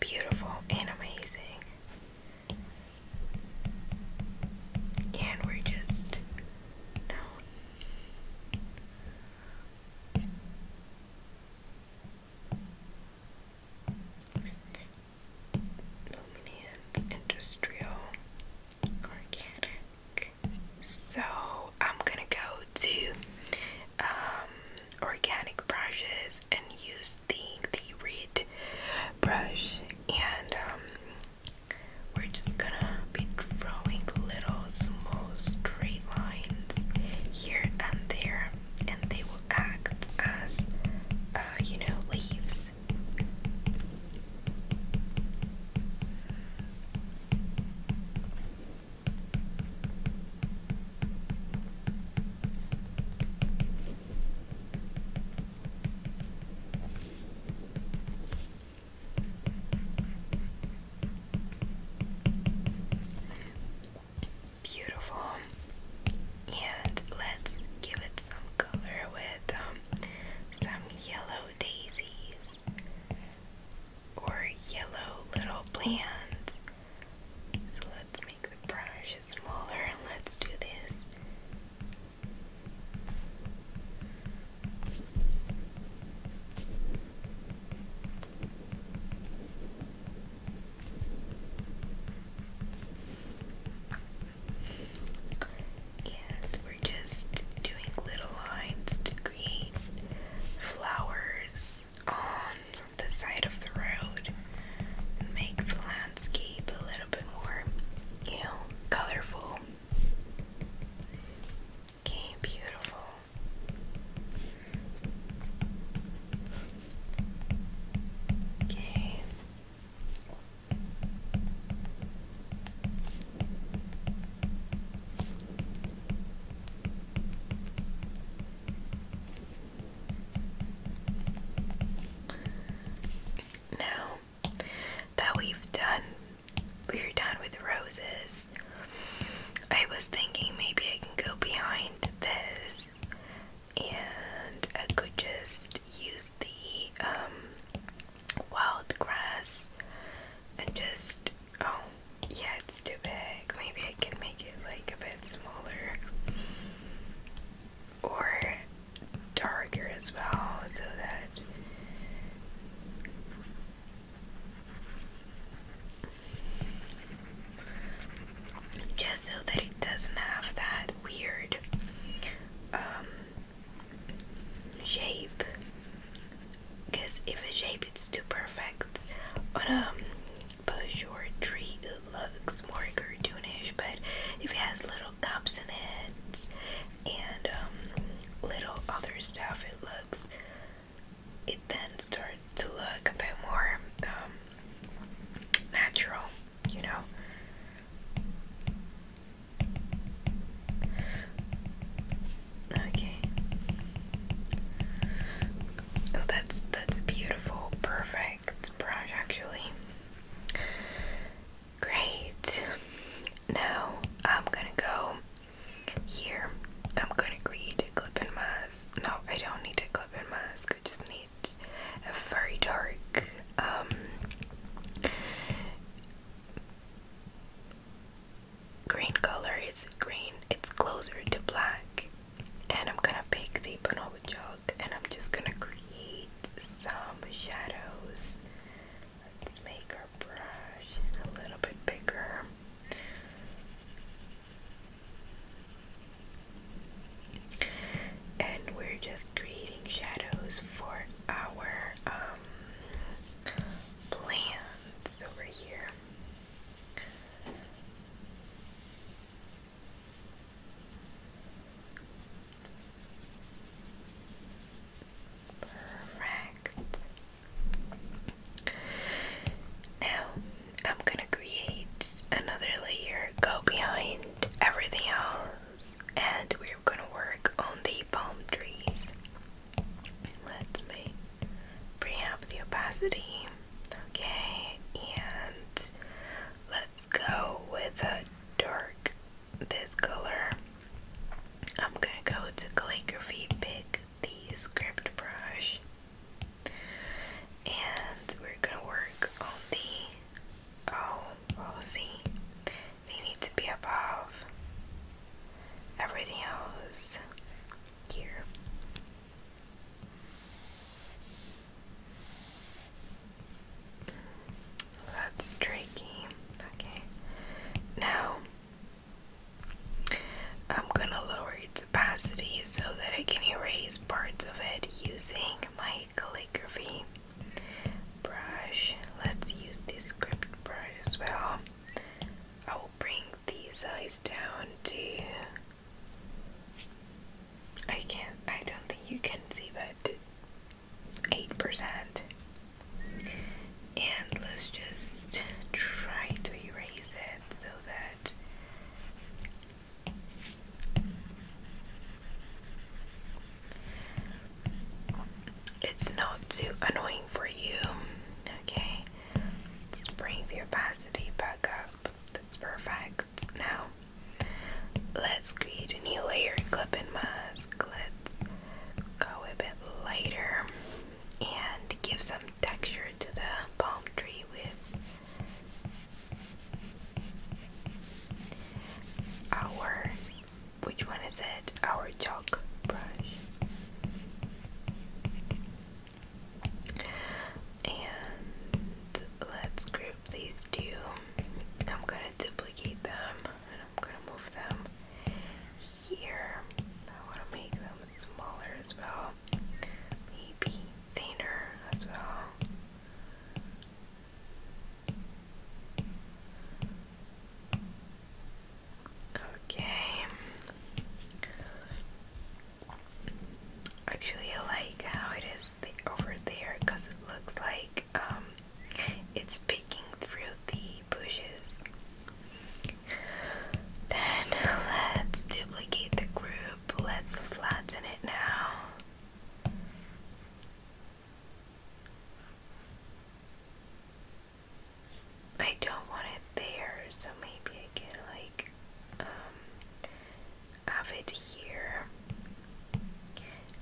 beautiful and amazing. And we're just down. Industrial Organic. So I'm gonna go to um, organic brushes and use the the red brush and um, we're just gonna be drawing little small straight lines here and there and they will act as uh, you know leaves Beautiful, and let's give it some color with um, some yellow daisies or yellow little plants. So let's make the brush smaller and let's do this. Yes, we're just doing little lines to create flowers on the side of the road and make the landscape a little bit more, you know, colorful. Okay, beautiful. Okay. Now that we've done, we're done with roses, I was thinking maybe I can go behind this and I could just use the um, wild grass and just Oh, yeah, it's too big. Maybe I can make it like a bit smaller or darker as well so that just so that it doesn't have that weird um, shape because if a shape is too perfect on a um, Peugeot tree it looks more cartoonish, but if it has little cups in it and um, little other stuff, it looks. It then starts to look a bit more um, natural, you know. Okay, Oh, that's that's beautiful, perfect brush actually. Great. Now I'm gonna go here. I'm gonna create a clip and mask. No, I don't need a clip and mask. I just need a very dark um, green color. Is green? It's closer to black and I'm gonna bake the bonobo jug and I'm just gonna create some shadows. Let's make our brush a little bit bigger. And we're just creating shadows for our um, plants over here. Perfect. Now I'm gonna create another layer, go behind everything else, and we're gonna work on the palm trees. Let me bring up the opacity. Okay, and let's go with a dark this color. I'm gonna go to calligraphy, pick the script brush, and we're gonna work on the oh well oh, see they need to be above everything else here. That's tricky. Okay. Now I'm gonna lower its opacity so that I can erase parts of it using my calligraphy brush. Let's use this script brush as well. I will bring these eyes down to. I can't, I don't think you can see, but 8%. And let's just try to erase it so that. It's not too annoying for you. Okay, let's bring the opacity back up. That's perfect. Now, let's create a new layer, clip and mask. Let's go a bit lighter and give some texture to the palm tree with ours. Which one is it? Our chalk brush. And let's group these two. I'm going to duplicate them and I'm going to move them here. I want to make them smaller as well. Maybe thinner as well. Okay actually like how it is over there because it looks like um, it's peeking through the bushes. Then let's duplicate the group. Let's flatten it now. I don't want it there, so maybe I can like. Um, have it here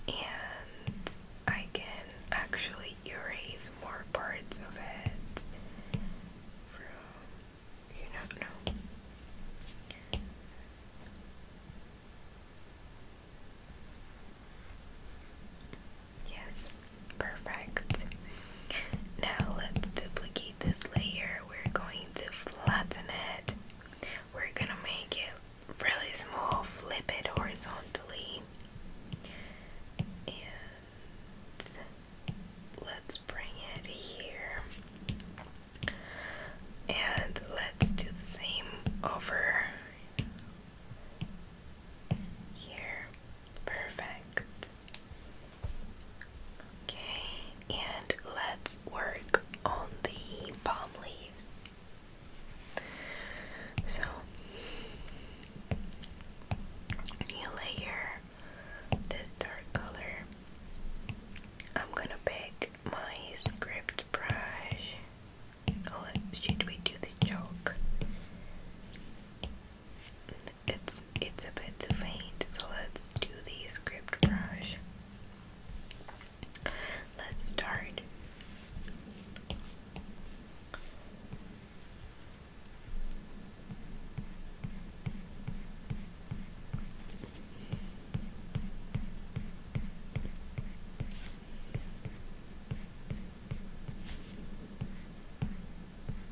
and I can actually erase more parts of it Yes, perfect. Now let's duplicate this layer. We're going to flatten it. We're gonna make it really small, flip it horizontally. And let's bring it here. And let's do the same over here. Perfect. Okay, and let's work on the palm leaves. So, you layer this dark color. I'm gonna pick my script brush. Oh, should we do the chalk? it's it's a bit faint, so let's do the script brush. Let's start.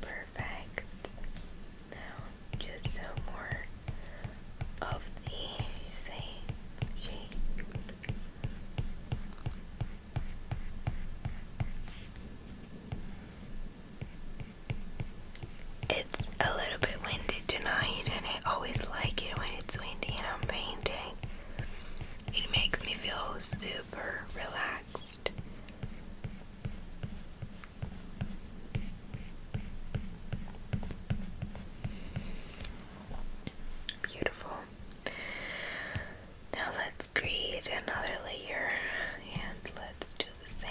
Perfect. Now just some more of the same shape. It's a little bit windy tonight, and I always like it when it's windy and I'm painting. It makes me feel super relaxed. Beautiful. Now let's create another layer and let's do the same.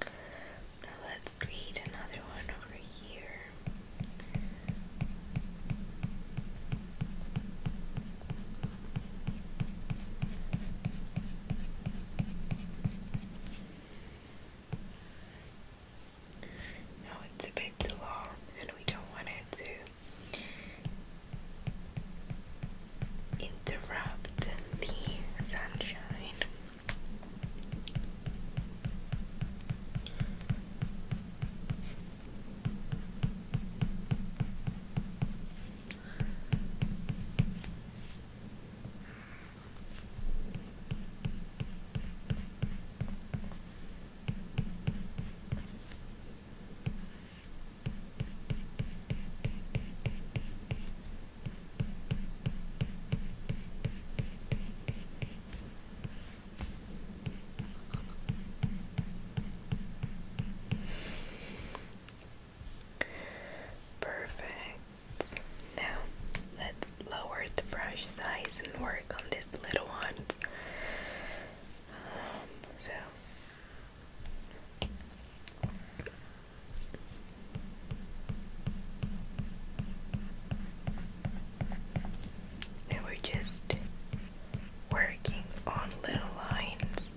Now let's create another one over here. Now it's a bit too long and we don't want it to interrupt the sunshine. Perfect. Now let's lower the brush size and work on these little ones. Um, so we're just working on little lines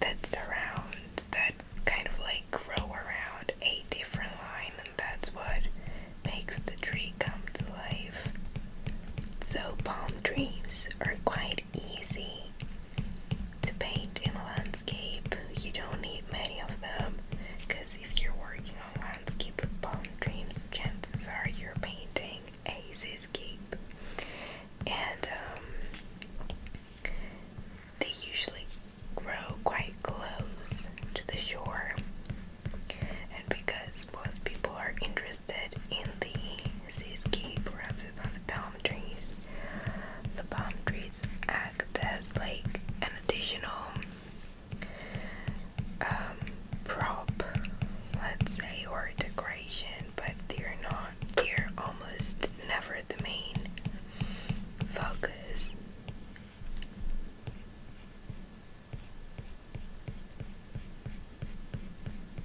that surround, that kind of like grow around a different line, and that's what makes the tree come to life. So, palm trees are quite easy to paint in landscape, you don't need many of them because if you're working on landscape with palm trees, chances are you're painting a seascape. And um, they usually grow quite close to the shore. And because most people are interested in the seascape rather than the palm trees. The palm trees act as like an additional um, prop, let's say, or decoration, but they're not, they're almost never the main focus.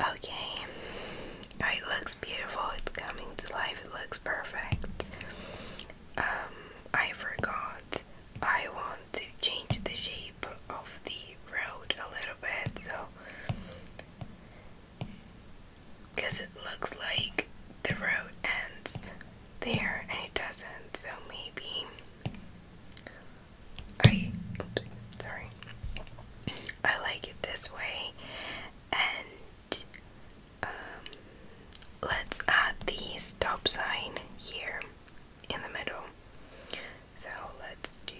Okay. Oh, it looks beautiful. It's coming to life. It looks perfect. Um, I forgot. I want to change the shape of the road a little bit, so because it looks like the road ends there and it doesn't, so maybe I sorry. I like it this way and um, let's add the stop sign here in the middle. So let's do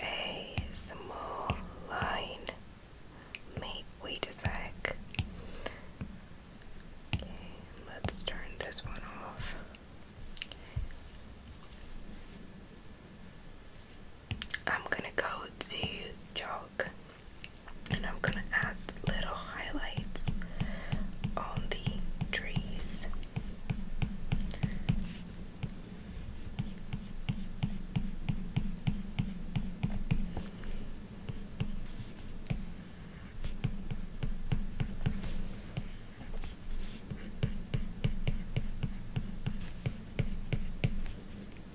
a small line. Wait, wait a sec. Okay, let's turn this one off. I'm gonna go to chalk and I'm gonna add little highlights on the trees.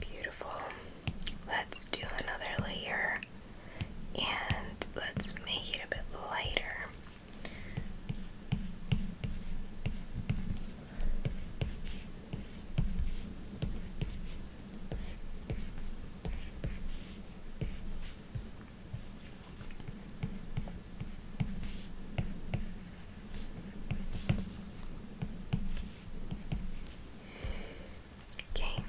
Beautiful. Let's do another layer and let's make it a bit lighter. Okay.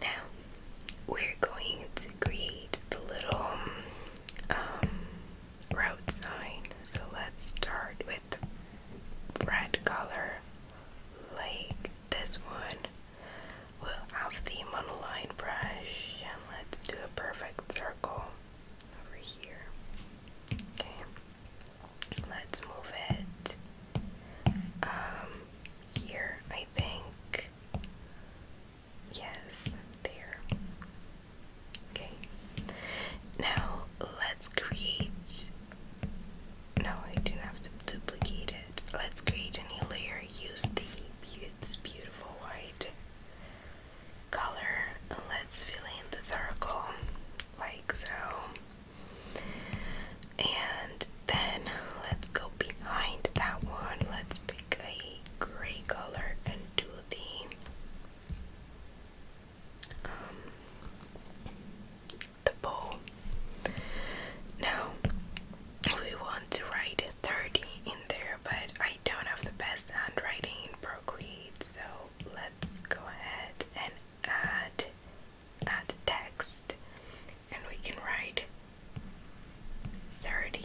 Now we're going to create the little um, road sign. So let's start with red color, like this one. We'll have the monoline brush and let's do a perfect circle over here. Okay, let's move it um, here, I think. Yes, there. Okay, now let's create. No, I do not have to duplicate it. Let's create a new layer. Use the beautiful white color. And let's fill in the circle like so. And then let's go behind that one. Let's pick a gray color and do the um the bowl. Now we want to write 30 in there, but I don't have the best handwriting in Procreate, so let's go ahead and add add text and we can write 30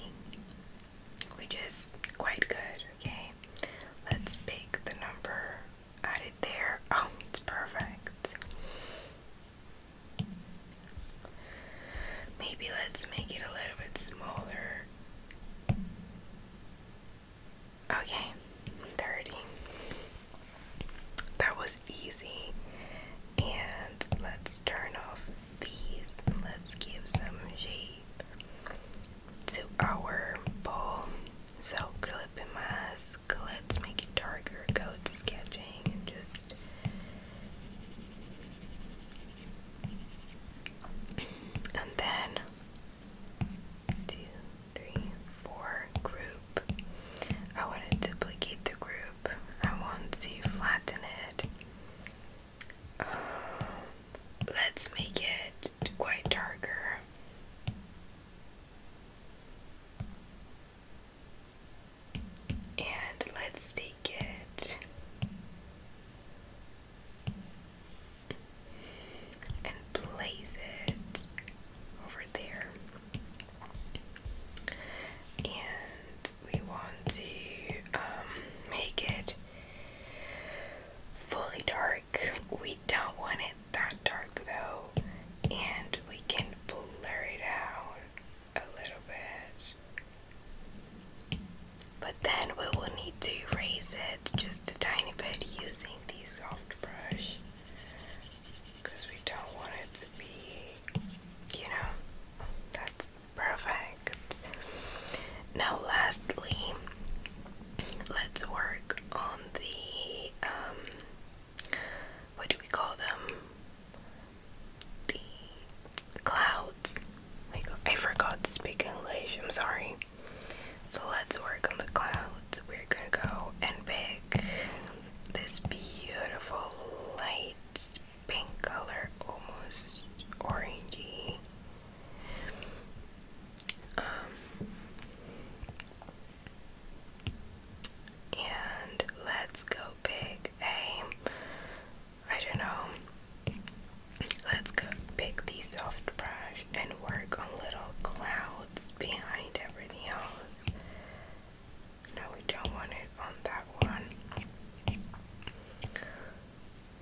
which is quite good okay let's pick the number add it there oh it's perfect Maybe let's make it a little bit smaller. Okay, 30. That was easy. And let's turn off these. Let's give some shape to our ball. So, clipping my mask. Let's make it darker. Go sketching and just and then two, three, four group. I want to duplicate the group. I want to flatten it. Um, let's make it quite darker. And let's take it and place it over there. And we want to um, make it fully dark. We don't want it that dark though, and we can blur it out a little bit. But then we will need to raise it just a tiny bit using the soft brush because we don't want it to be, you know, that's perfect. Now, lastly, let's work on the um, what do we call them? the clouds. Oh I forgot to speak English. I'm sorry. So let's work on the clouds. We're gonna go and pick this beautiful light pink color, almost orangey. Um, and let's go pick a I don't know. Let's go pick the soft brush and work on little clouds behind everything else. No, we don't want it on that one.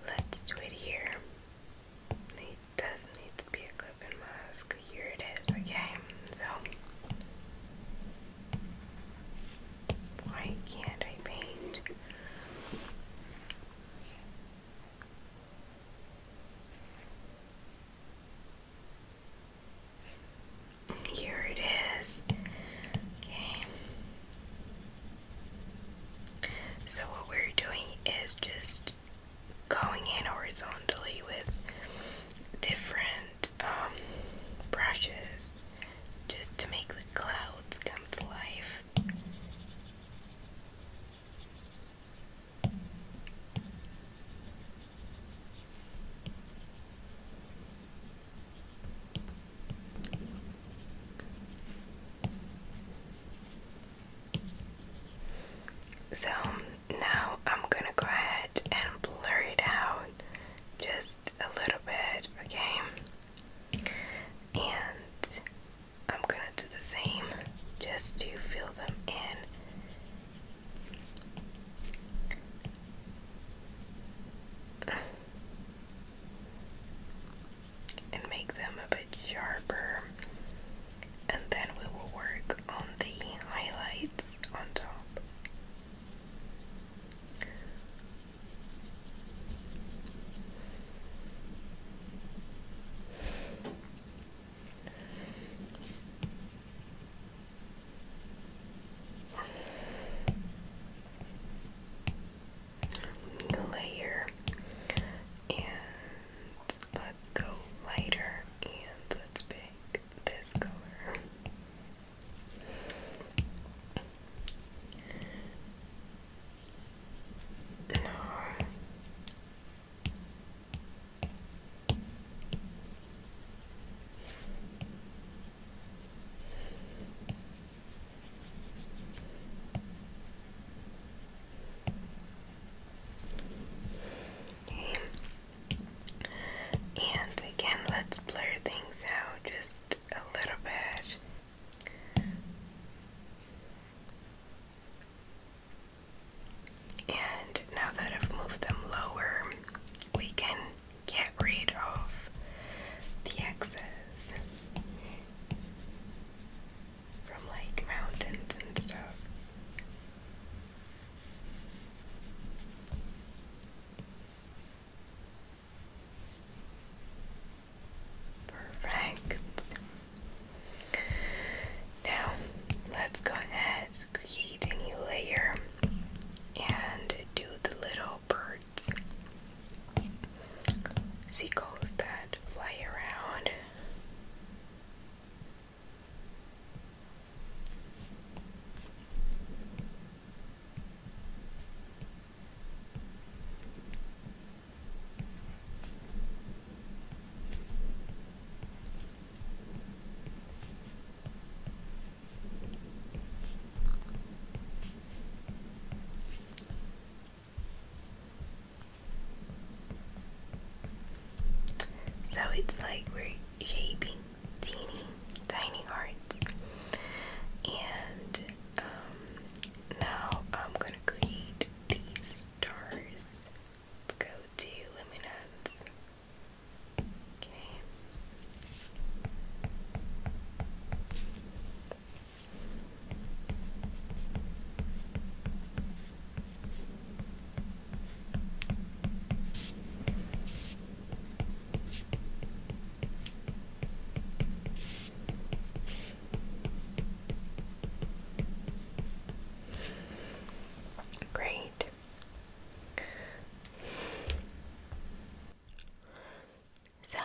Let's do it here. It does not need to be a clip and mask. Here it is, okay? So why can't I paint? Here it is. Okay. So, what we're doing is just going in horizontally with different um, brushes just to make the clouds come to life. So now I'm gonna go ahead and blur it out just a little bit, okay? and I'm gonna do the same just to fill them in. And make them a bit sharper, and then we will work on the highlights on top. Layer and let's go lighter and let's pick this color. And again, let's blur things out just a little bit. And now that I've moved them lower, we can get rid of the excess from like mountains and stuff. Perfect. Now let's go ahead, and create a new layer and do the little birds. Seagulls that fly around. So it's like we're shaping tiny, tiny hearts, and um, now I'm gonna create these stars. Let's go to luminance. Okay. Okay, Great. So,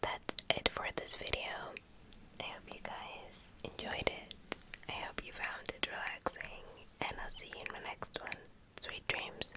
that's it for this video. I hope you guys enjoyed it. I hope you found it relaxing, and I'll see you in my next one. Sweet dreams.